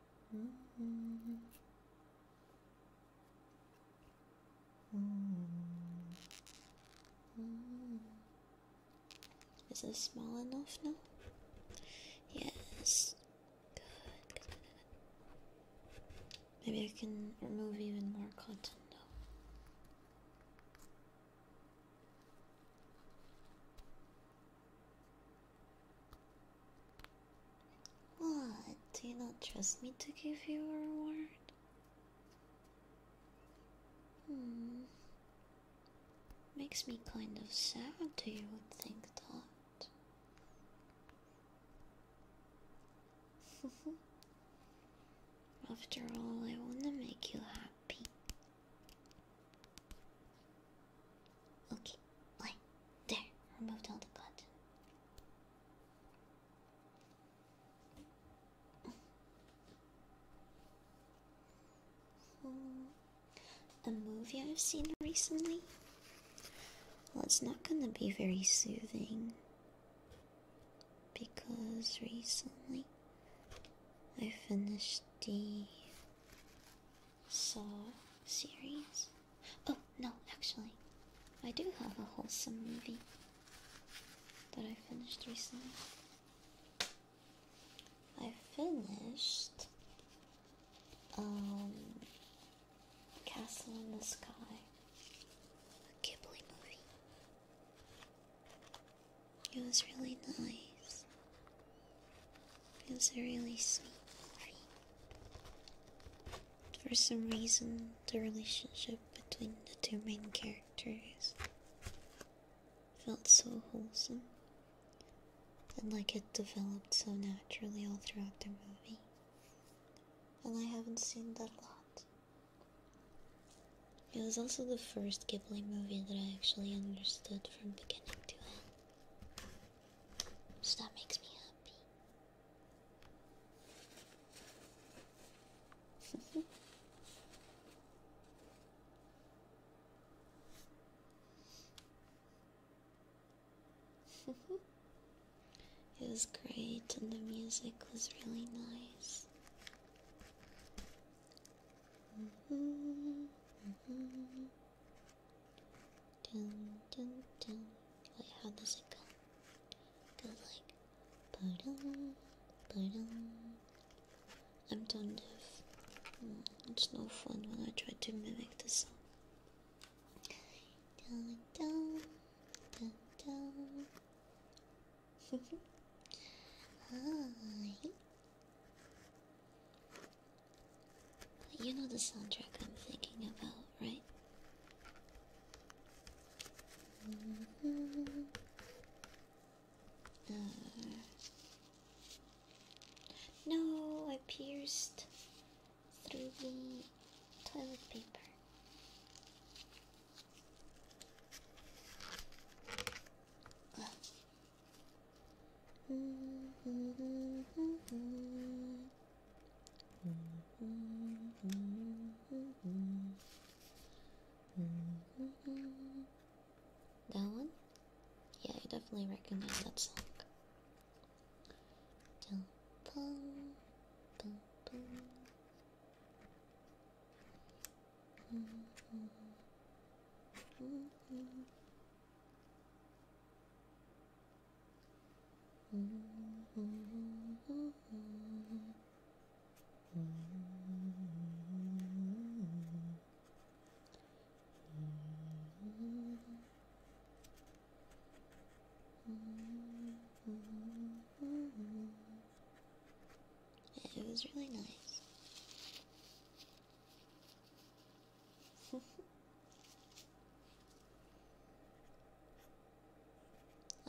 Mm. Is this small enough now? Yes. Good, Maybe I can remove even more content. though. What? Do you not trust me to give you a reward? Hmm. Makes me kind of sad Do you think that. After all, I wanna make you happy. Okay, right there. Removed all the buttons. A movie I've seen recently? Well, it's not gonna be very soothing because recently I finished the Saw series. Oh, no, actually, I do have a wholesome movie that I finished recently. I finished um, Castle in the Sky, a Ghibli movie. It was really nice. It was a really sweet movie. for some reason, the relationship between the two main characters felt so wholesome and like it developed so naturally all throughout the movie. And I haven't seen that a lot. It was also the first Ghibli movie that I actually understood from beginning to end. So that makes me happy. it was great, and the music was really nice. Mm-hmm. Mm-hmm. Dun, dun, dun. Wait, how does it go? Goes like, ba-dum, ba-dum. I'm tone deaf. Mm, it's no fun when I try to mimic the song. Dun, dun, dun, dun. Hi you know the soundtrack I'm thinking about, right? Mm-hmm. Uh, no, I pierced through the toilet paper. Mm-hmm. That one? Yeah, I definitely recognize that song it was really nice. I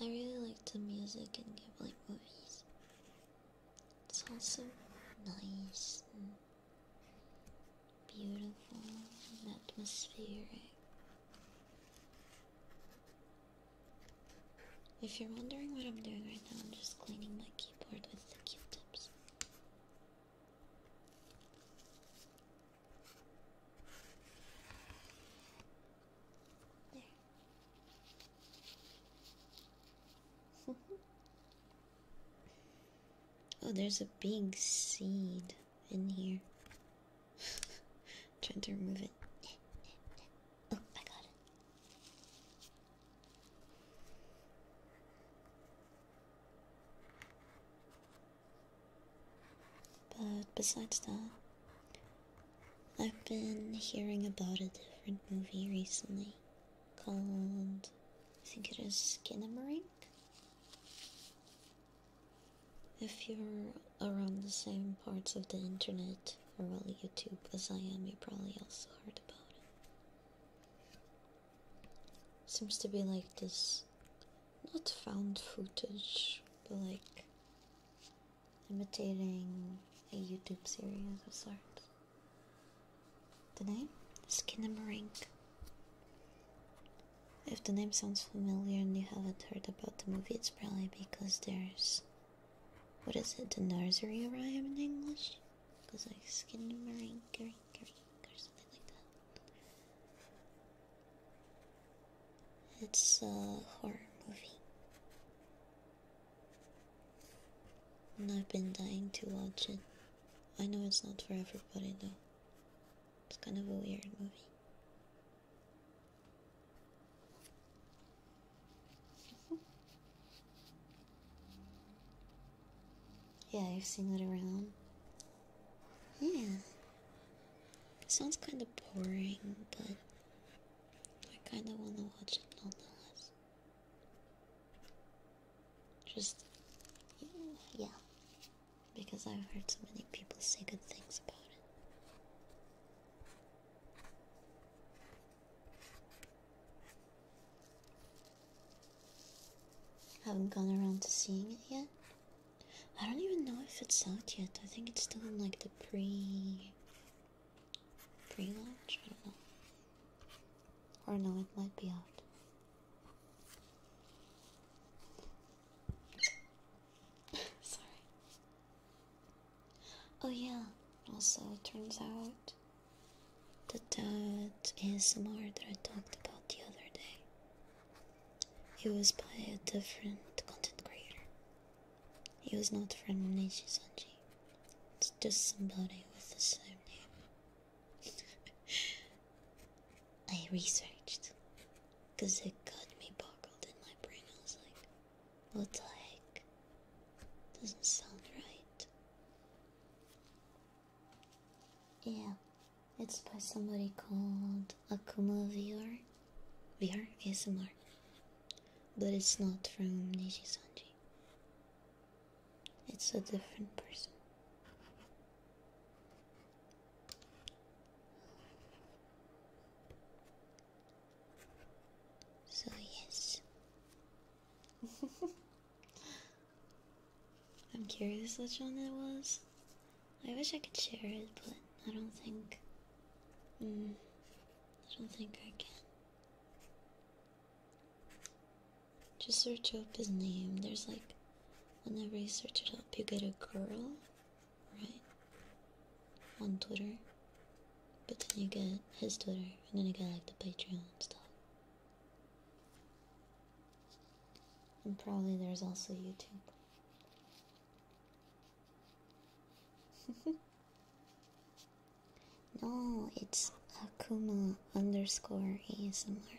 really like the music and in like movies. It's also nice and beautiful atmosphere. If you're wondering what I'm doing right now, I'm just cleaning my keyboard with the Q-tips. oh, there's a big seed in here. Trying to remove it. oh, I got it. But besides that, I've been hearing about a different movie recently called, I think it is Skinamarink. If you're around the same parts of the internet or well, YouTube as I am, you probably also heard about it. Seems to be like this not found footage, but like imitating a YouTube series of sorts. The name? Skin and Skinamarink. If the name sounds familiar and you haven't heard about the movie, it's probably because there's. What is it? The nursery rhyme in English? Because like skin and rink, rink, or something like that. It's a horror movie. And I've been dying to watch it. I know it's not for everybody though. It's kind of a weird movie. Yeah, I've seen it around. Yeah. Sounds kind of boring, but I kind of want to watch it nonetheless. Just, yeah, yeah. Because I've heard so many people say good things about it. Haven't gone around to seeing it yet, I don't even know if it's out yet. I think it's still in like the pre pre launch, I don't know. Or no, it might be out. Sorry. Oh yeah. Also, it turns out that that is that ASMR that I talked about the other day it was by a different content creator. He was not from Nishi Sanji. It's just somebody with the same name. I researched because it got me boggled in my brain. I was like, what the heck? Doesn't sound right. Yeah, it's by somebody called Akuma VR. VR ASMR. But it's not from Niji Sanji. It's a different person. So yes. I'm curious which one it was. I wish I could share it, but I don't think. Mm, I don't think I can. Just search up his name. There's like, whenever you search it up, you get a girl, right? On Twitter. But then you get his Twitter, and then you get like the Patreon stuff. And probably there's also YouTube. no, it's Akuma underscore ASMR.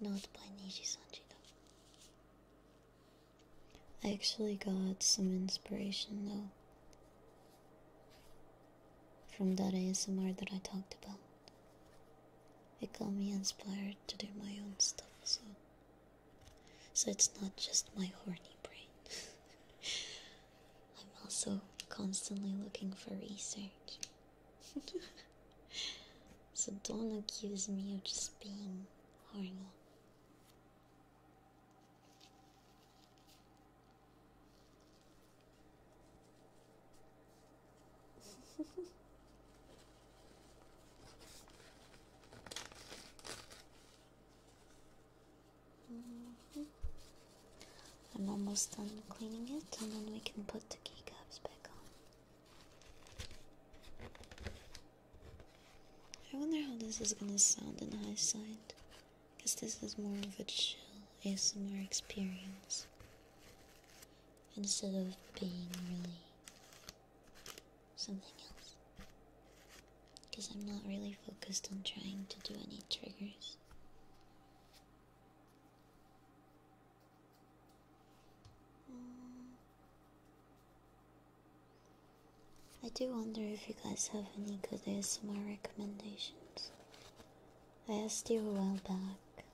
Not by Niji Sanji though. I actually got some inspiration though from that ASMR that I talked about. It got me inspired to do my own stuff, so so it's not just my horny brain. I'm also constantly looking for research. so don't accuse me of just being horny. Mm-hmm. I'm almost done cleaning it, and then we can put the keycaps back on. I wonder how this is gonna sound in high side, because this is more of a chill ASMR experience instead of being really something else. Because I'm not really focused on trying to do any triggers. Mm. I do wonder if you guys have any good ASMR recommendations. I asked you a while back.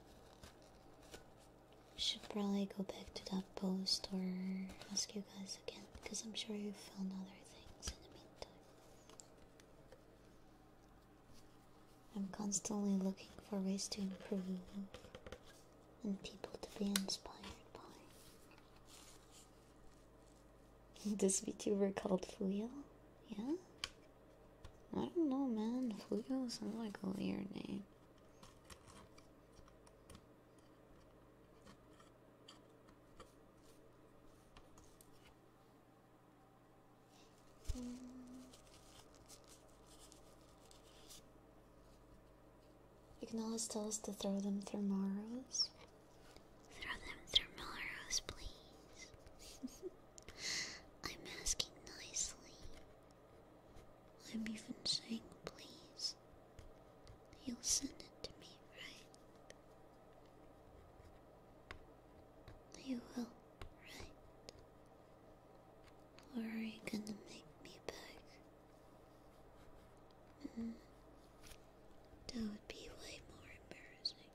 Should probably go back to that post or ask you guys again because I'm sure you found other things in the meantime. I'm constantly looking for ways to improve and people to be inspired by. this VTuber called Fuyo, yeah? I don't know, man. Flugo sounds like a weird name. You can always tell us to throw them through Morrows. Throw them through Melrose, please. I'm asking nicely. I'm even saying please. You'll send it to me, right? You will, right? Or are you gonna make me beg? Hmm. That would be way more embarrassing.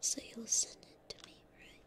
So you'll send it to me, right?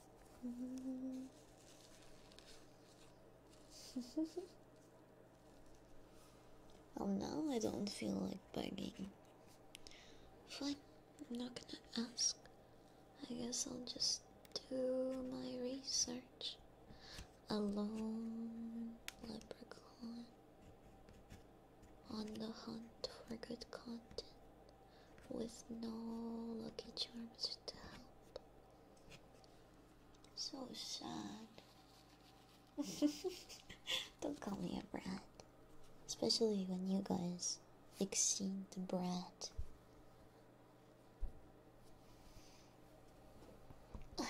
oh no, I don't feel like begging. Fine, I'm not gonna ask. I guess I'll just do my research. Alone, leprechaun. On the hunt for good content with no lucky charms to help. So sad. Don't call me a brat. Especially when you guys exceed the brat.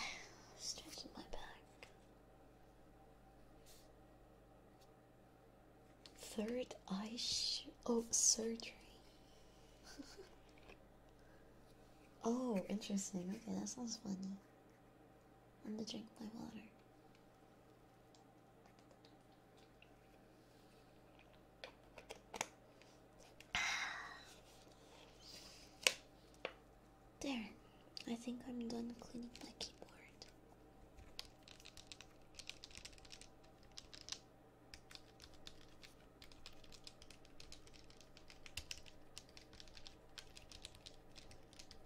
Stretching my back. Third eye oh surgery. oh, interesting. Okay, that sounds funny. I'm gonna drink my water. There, I think I'm done cleaning my keyboard.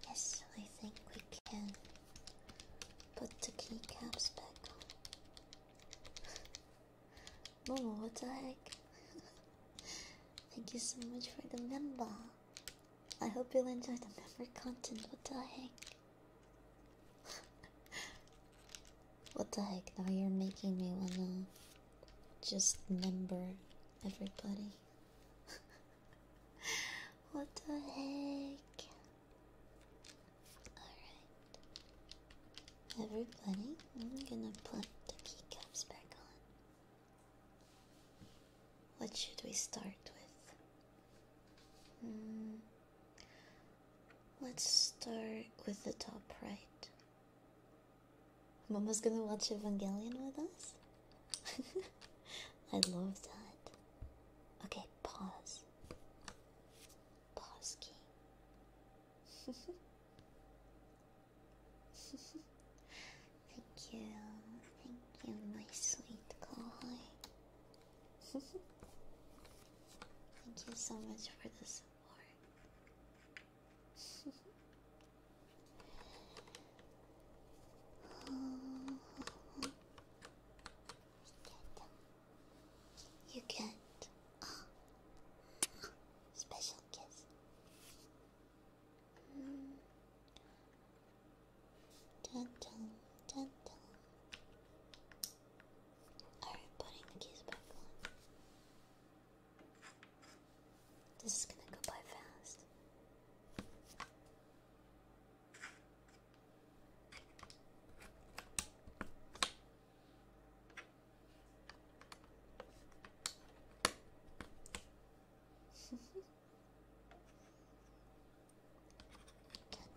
Yes, I think we can put the keycaps back on. Momo, what the heck? Thank you so much for the member. I hope you'll enjoy the member content. What the heck? what the heck? Now you're making me wanna just number everybody. what the heck? Alright. Everybody, I'm gonna put the keycaps back on. What should we start with? Mm. Let's start with the top right. Mama's gonna watch Evangelion with us? I love that. Okay, pause. Pause key. Thank you. Thank you, my sweet guy. Thank you so much for this ASMR. oh, you get a special kiss. Mm. Dun, are you putting the keys back on? This is gonna go by fast.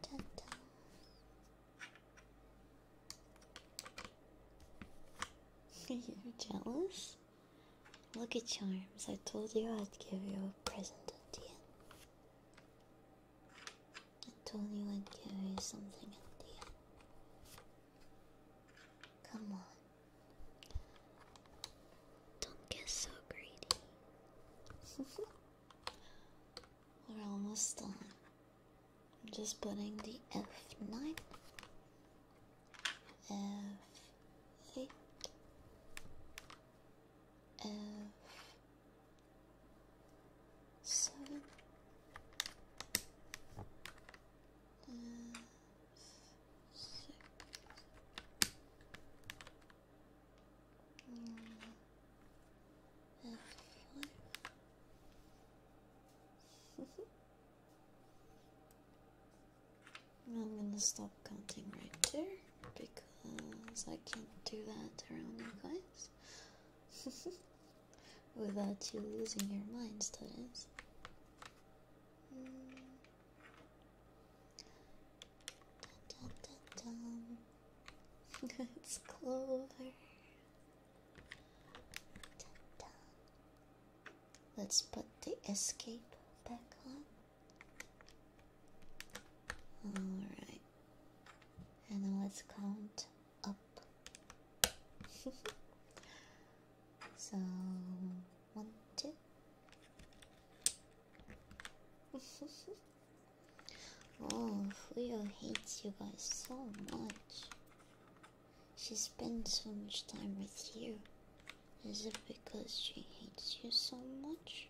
da, da, da. you jealous? Look at Charms, I told you I'd give you a present at the end. I told you I'd give you something at the end. Come on. Don't get so greedy. We're almost done. I'm just putting the F9, F8, F7, F6. Mm. I'm gonna stop counting right there because I can't do that around you guys without you losing your minds, that is. it's Clover. Let's put the escape back on. Alright. And let's count up. so, one, two. Oh, Fuyo hates you guys so much. She spends so much time with you. Is it because she hates you so much?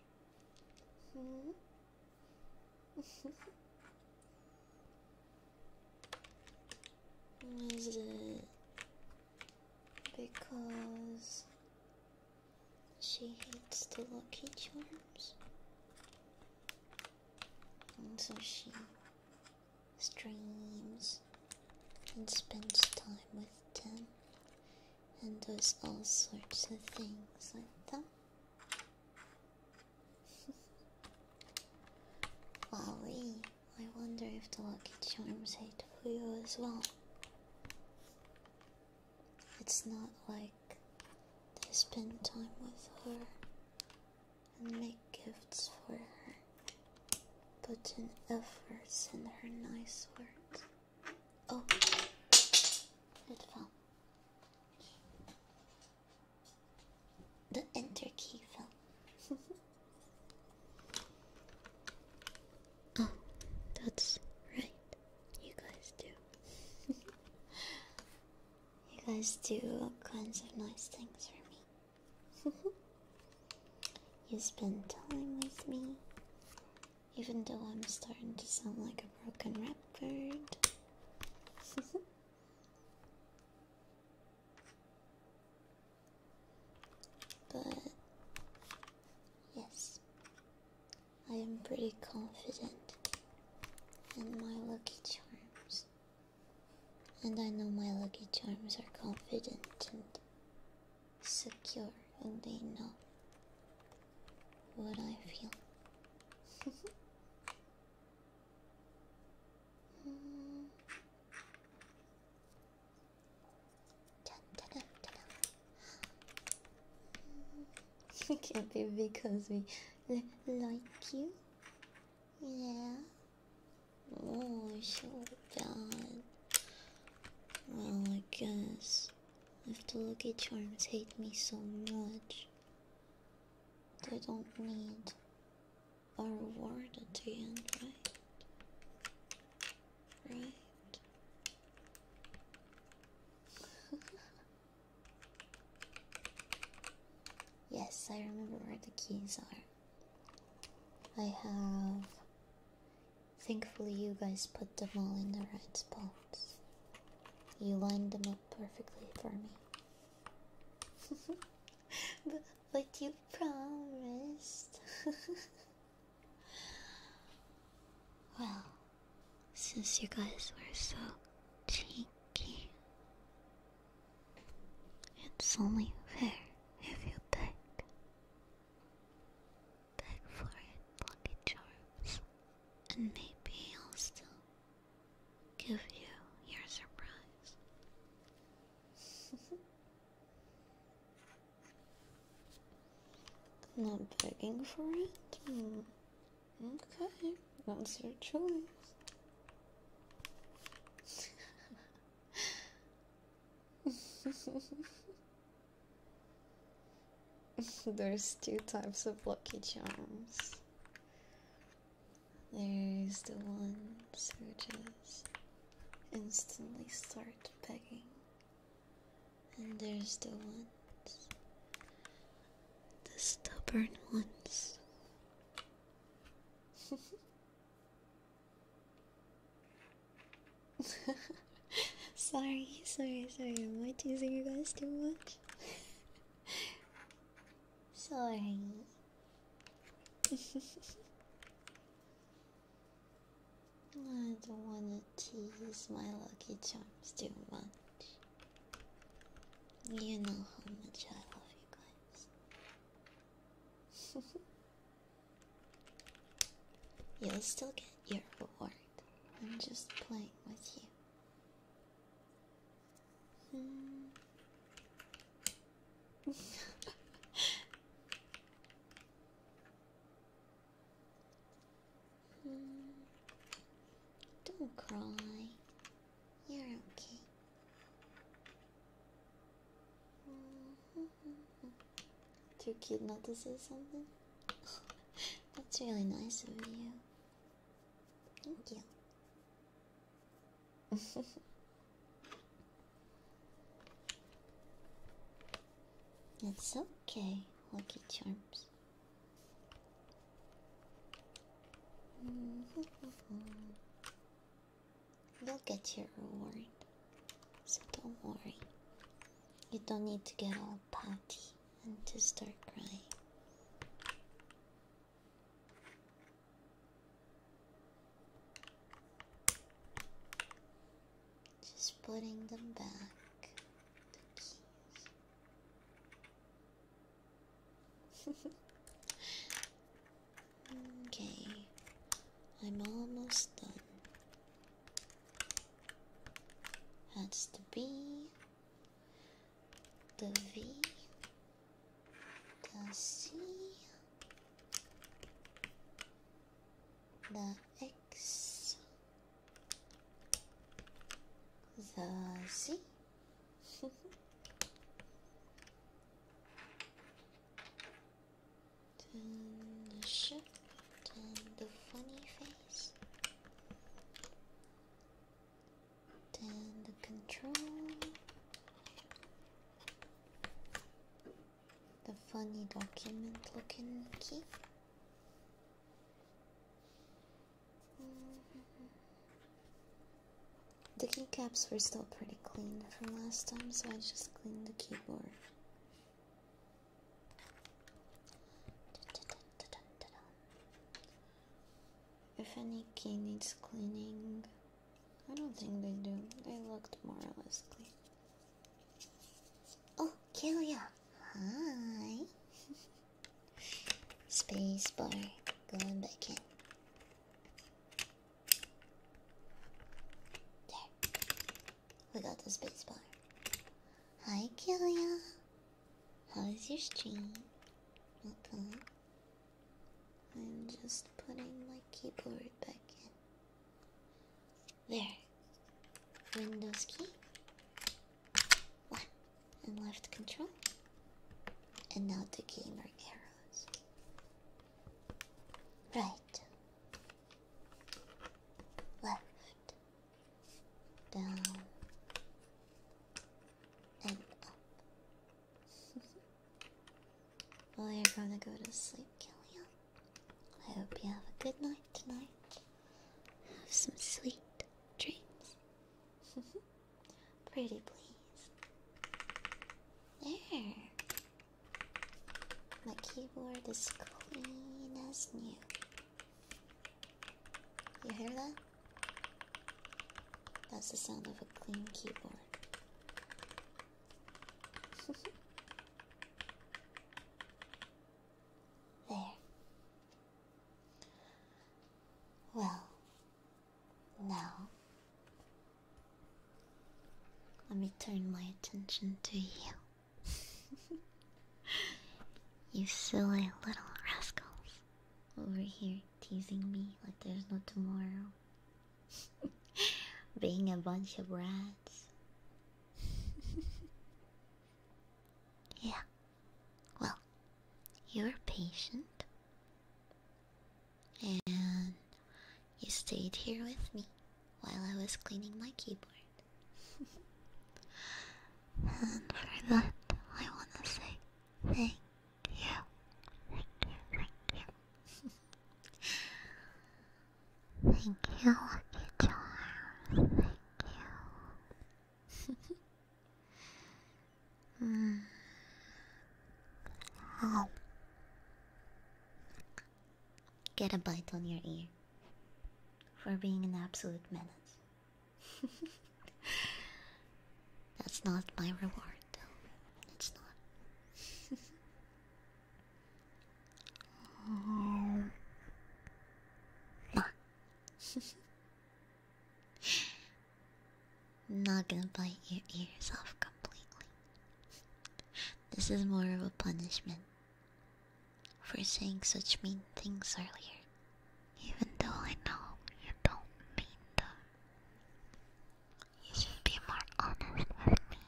Hmm? Is it because she hates the lucky charms? and so she streams and spends time with them and does all sorts of things like that. Wally, I wonder if the Lucky Charms hate you as well. It's not like they spend time with her and make gifts for her. Put in efforts in her nice words. Oh, it fell. The enter key fell. oh, that's right. You guys do. You guys do all kinds of nice things for me. you spend time with me, even though I'm starting to sound like a broken record. but yes, I am pretty confident in my lucky charms. And I know my lucky charms are confident and secure, and they know what I feel. mm. dun, Can't be because we like you. Yeah. Oh, so bad. Well, I guess if the lucky charms hate me so much, they don't need a reward at the end, right? Right. Yes, I remember where the keys are. I have. Thankfully, you guys put them all in the right spots. You lined them up perfectly for me. but, but you promised. well, since you guys were so cheeky, it's only fair if you beg. Beg for it, Lucky Charms, and maybe I'll still give you your surprise. Not begging for it? Hmm, okay. That's your choice? There's two types of lucky charms. There's the ones who just instantly start begging, and there's the ones, the stubborn ones, sorry, sorry, sorry. Am I teasing you guys too much? sorry. I don't want to tease my lucky charms too much. You know how much I love you guys. You'll still get your reward. I'm just playing with you. Hmm. Hmm. Don't cry. You're okay. Mm-hmm. Too cute not to say something? That's really nice of you. Thank you. it's okay, Lucky Charms. Mm-hmm. You'll get your reward. So don't worry. You don't need to get all potty and just start crying. Just putting them back. The keys okay, I'm almost done. That's the B, the V, the C, the X, the Z turn the ship, turn the funny face, turn the control, the funny document looking key. Mm-hmm. The keycaps were still pretty clean from last time, so I just cleaned the keyboard. If any key needs cleaning, I don't think they do. They look more or less clean. Oh, Kilia! Hi! Spacebar, going back in. There. We got the spacebar. Hi, Kilia. How is your stream? Welcome. I'm just putting my keyboard back in. There. Windows key. Left and left control. And now the gamer arrow. Right. Left. Down. And up. well, you're gonna go to sleep, Killian. I hope you have a good night tonight. Have some sweet dreams. Pretty please. There. My keyboard is clean as new. You hear that? That's the sound of a clean keyboard. there. Well, now, let me turn my attention to you. you silly little rascals. Over here teasing me like there's no tomorrow. Being a bunch of rats. yeah. Well, you're patient and you stayed here with me while I was cleaning my keyboard. and for that, I want to say thank you. Thank you, thank you. Thank you, Lucky Thank you. Hmm. Get a bite on your ear for being an absolute menace. That's not my reward, though. It's not. not gonna bite your ears off completely. This is more of a punishment for saying such mean things earlier, even though I know you don't mean them. You should be more honest with me.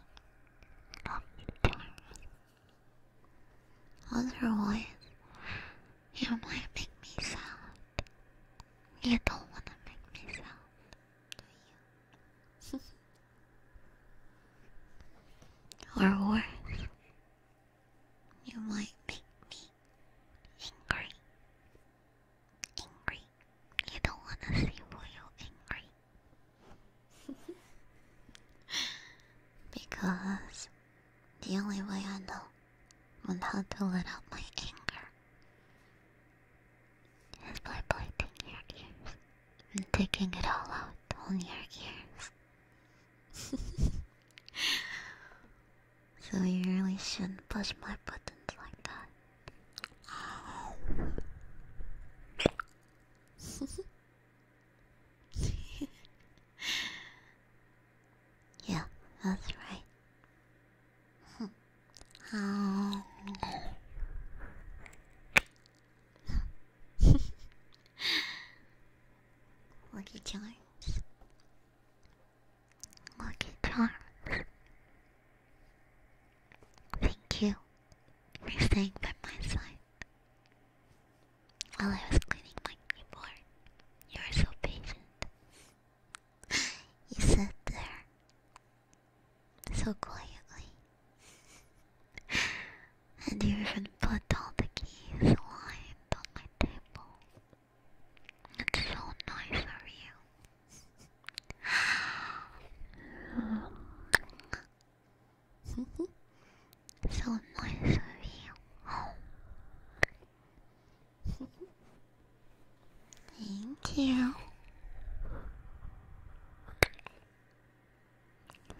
do Not Otherwise, you might make me sad. You don't want to make me sad you? or worse, you might make me angry. Angry. You don't want to see Royal angry. because the only way I know on how to let out my anger He's pinpointing your ears and taking it all out on your ears. so you really shouldn't push my buttons like that. yeah, that's right. Lucky charms. Lucky charms. Thank you for staying by my side. While I was cleaning my keyboard, you were so patient. you sat there so quietly. and you even put all the keys lined on my table. It's so nice of you. so nice of you. Thank you.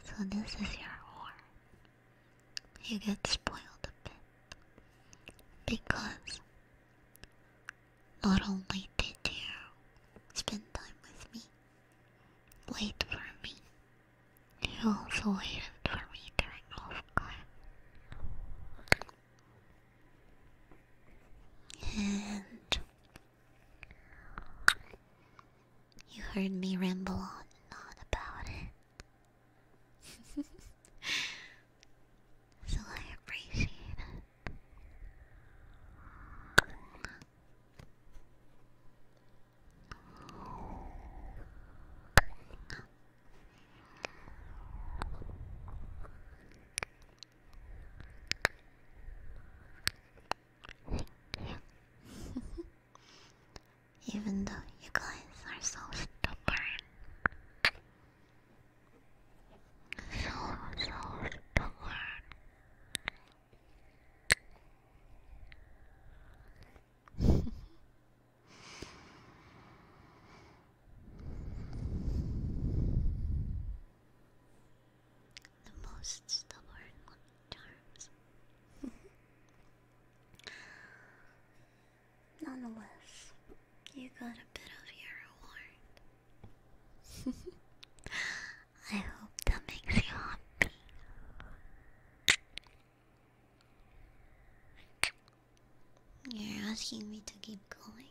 So this is your horn. You get spoiled a bit. Because not only did you spend time with me, wait for me, you also waited for me during off and you heard me ramble on and on about it. so I appreciate it. Even though you guys are so stubborn. So, so stubborn. The most stubborn charms. Nonetheless, you got a bit of your reward. I hope that makes you happy. You're asking me to keep going.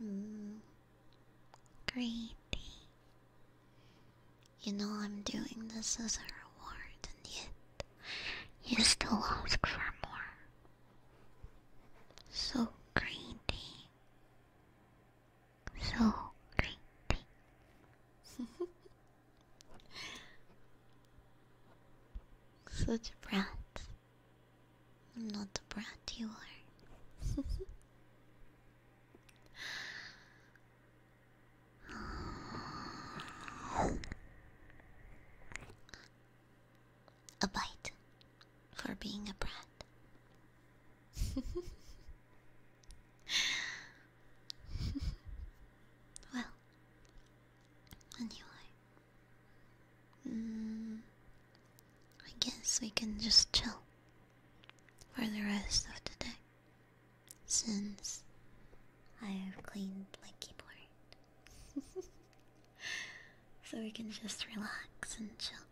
Mm. Greedy. You know I'm doing this as a reward, and yet you still ask for more. So greedy. So greedy. Such brats. I'm not the brat you are. a bite for being a brat. well, anyway, Mm, I guess we can just chill for the rest of the day since I've cleaned my keyboard. so we can just relax and chill.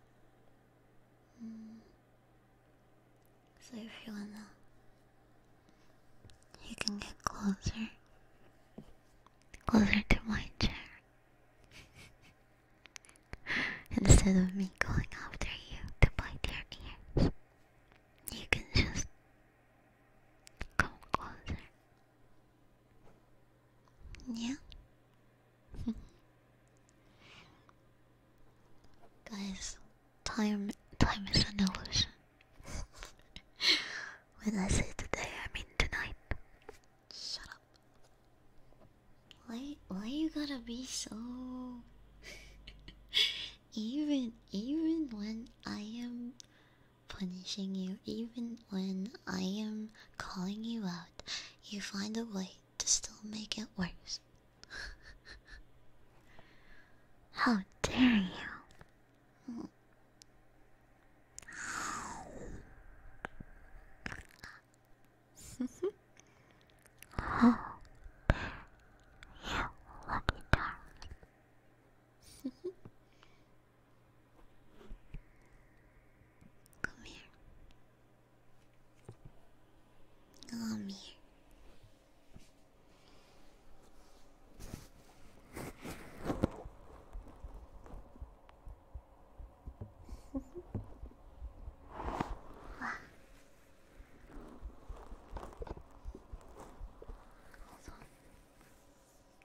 Mm. So if you wanna, you can get closer, closer to my chair. Instead of me going after you to bite your ears, you can just come closer. Yeah? Guys, time time is an illusion. when I say today, I mean tonight. Shut up. Why why you gotta be so even even when I am punishing you, even when I am calling you out, you find a way to still make it worse. How dare you? oh, there, you lucky darling. Come here. Come here.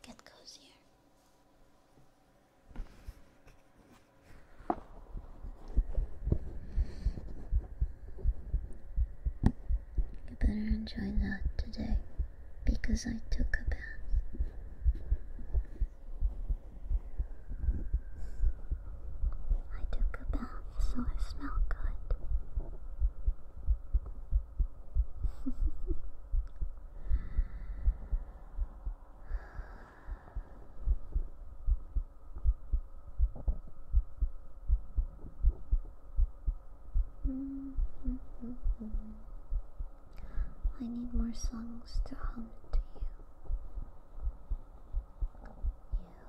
Get cozier. You better enjoy that today because I took a bath. I took a bath, so I smell good. I need more songs to hum to you.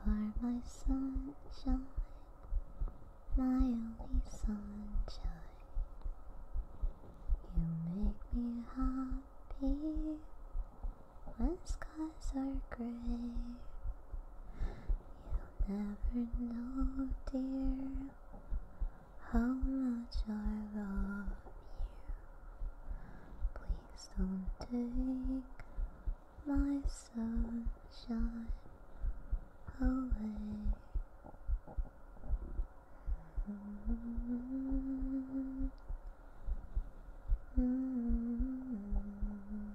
You are my sunshine, my only sunshine. You make me happy when skies are gray. You'll never know, dear, how much I love you. Please don't take my sunshine away. Mm-hmm. Mm-hmm. mm-hmm.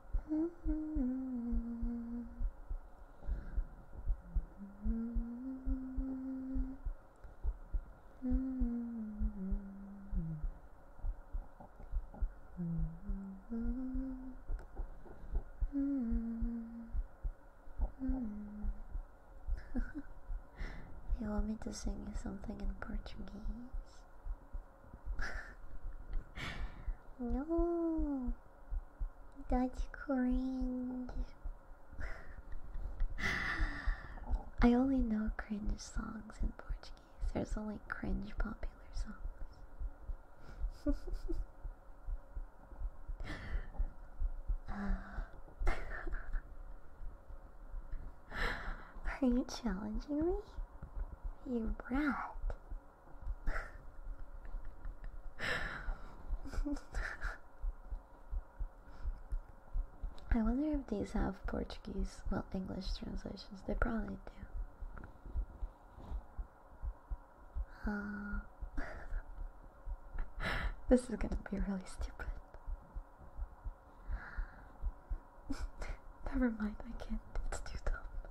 you want me to sing you something in Portuguese? no, Dutch cringe. I only know cringe songs in Portuguese. There's only cringe popular songs. Are you challenging me? You rat. I wonder if these have Portuguese, well, English translations. They probably do. Uh, this is gonna be really stupid. Never mind, I can't. It's too dumb.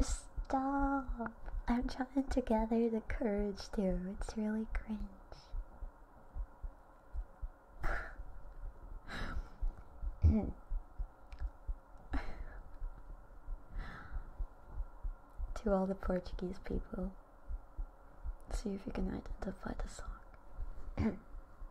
Stop! I'm trying to gather the courage too. It's really cringe. to all the Portuguese people, see if you can identify the song.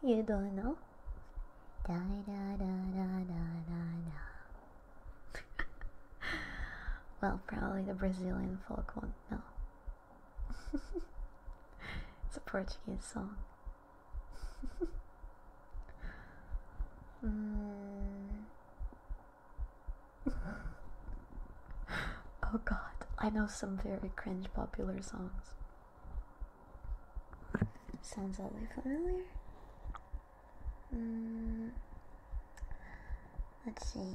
You don't know? well, probably the Brazilian folk won't know. it's a Portuguese song mm. oh god, I know some very cringe popular songs. Sounds oddly familiar. Mm. Let's see.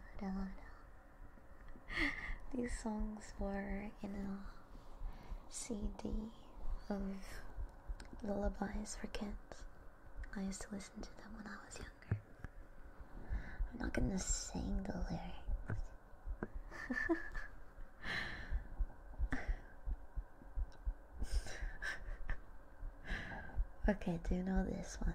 These songs were in a CD of lullabies for kids. I used to listen to them when I was younger. I'm not gonna sing the lyrics. okay, do you know this one?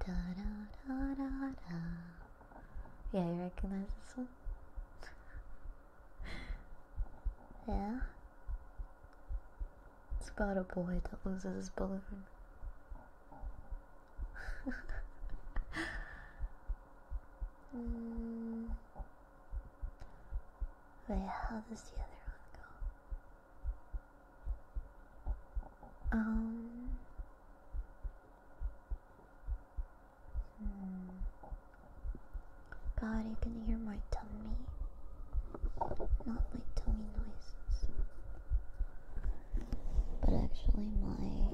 Da, da, da, da, da. Yeah, you recognize this one? yeah? It's about a boy that loses his balloon. mm. Wait, how does the other one go? Um. Hmm. God, you can hear my tummy. Not my tummy noises, but actually my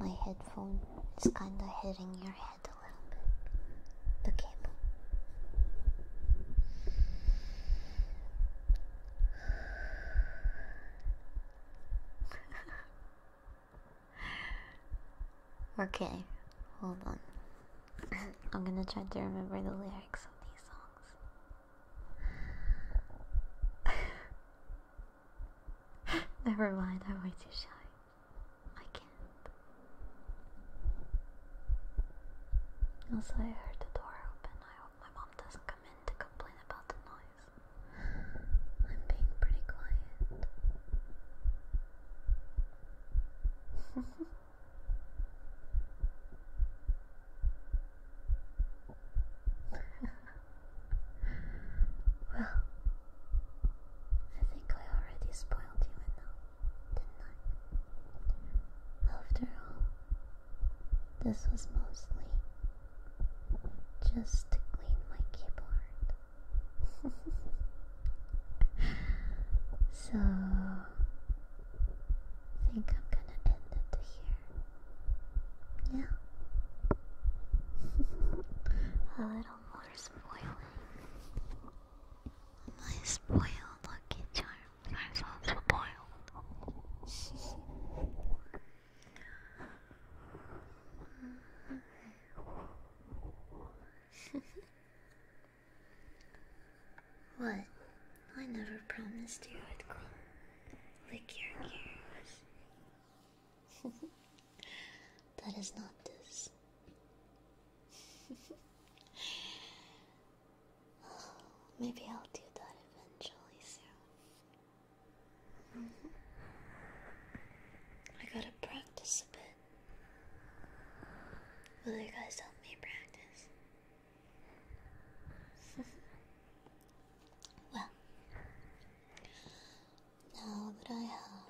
my headphone is kind of hitting your head a little bit. The cable. okay, hold on. I'm gonna try to remember the lyrics of these songs. Never mind, I'm way too shy. I can't. Also, I heard the door open. I hope my mom doesn't come to complain about the noise. I'm being pretty quiet. well, I think I already spoiled you didn't I? After all, this was mostly just to clean my keyboard. so, I think I'm gonna end it here. Yeah. A little more spoiling. My spoiled lucky charm. That's also boiled. what? I never promised you I'd come lick your ears. that is not this. Maybe I'll do that eventually soon. Mm-hmm. I gotta practice a bit. Will you guys help me practice? well, now that I have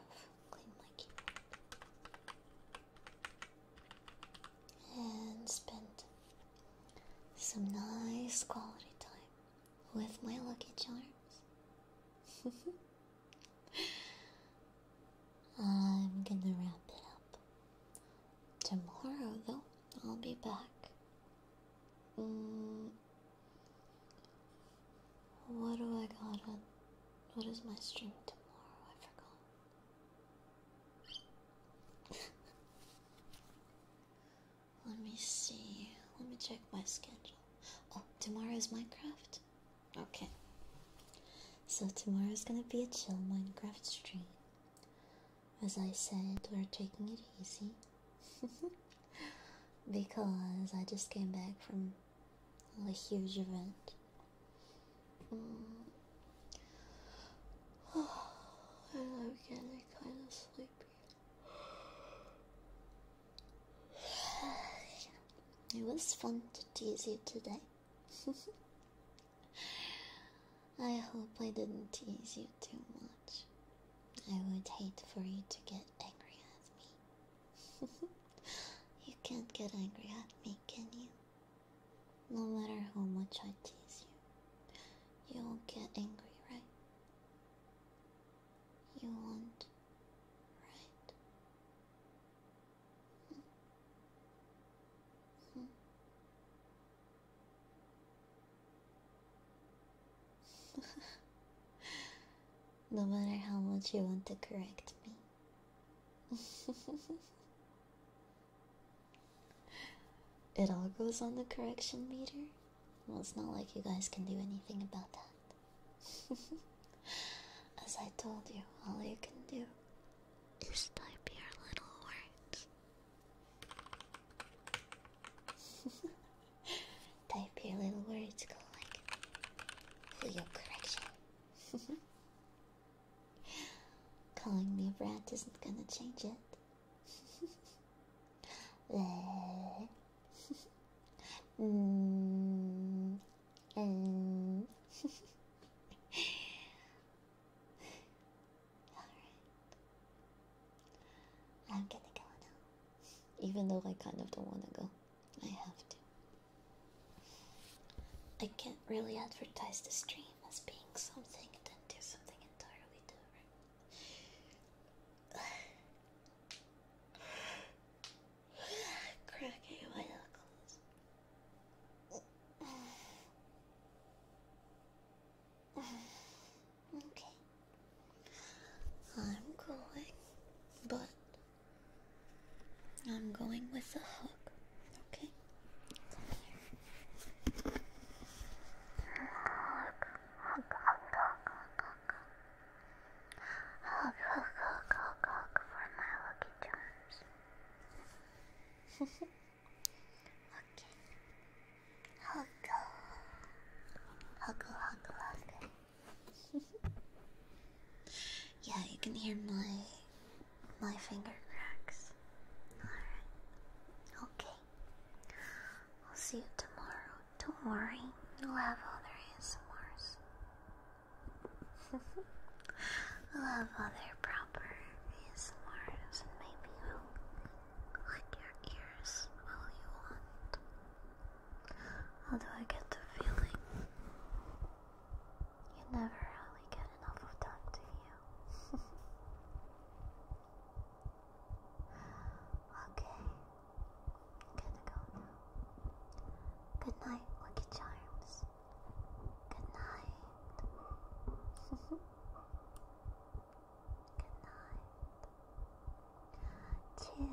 cleaned my keyboard and spent some nice quality time with my lucky charms. I'm gonna wrap it up. Tomorrow, though, I'll be back. Mm, what do I got on? What is my stream tomorrow? I forgot. Let me see. Let me check my schedule. Oh, tomorrow's Minecraft? Okay. So tomorrow is gonna be a chill Minecraft stream. As I said, we're taking it easy. because I just came back from a huge event. Oh, and I'm getting kind of sleepy. It was fun to tease you today. I hope I didn't tease you too much. I would hate for you to get angry at me. you can't get angry at me, can you? No matter how much I tease you you'll get angry, right? You won't, right? no matter how much you want to correct me. It all goes on the correction meter? Well, it's not like you guys can do anything about that. As I told you, all you can do is type your little words. type your little words, go like, for your correction. Calling me a brat isn't gonna change it. 네. 음, 음. Alright. I'm gonna go now. Even though I kind of don't want to go, I have to. I can't really advertise the stream as being something and then do something entirely different. Cracking my knuckles. Okay. I'm going, but I'm going with a hook, okay? Hook hug, hug, hug, hug, hug. Hug, hug, hug, hug, hug for my lucky charms. okay. Hug. Hug, hug, hug. yeah, you can hear my my finger cracks. Alright. Okay we will see you tomorrow. Don't worry, you'll have other ASMRs. I'll have other proper ASMRs, and maybe lick your ears all you want. Although I get the feeling you never really get enough of that, do you? Okay. I'm gonna go now. Good night, Lucky Charms. Good night. Good night. Chill.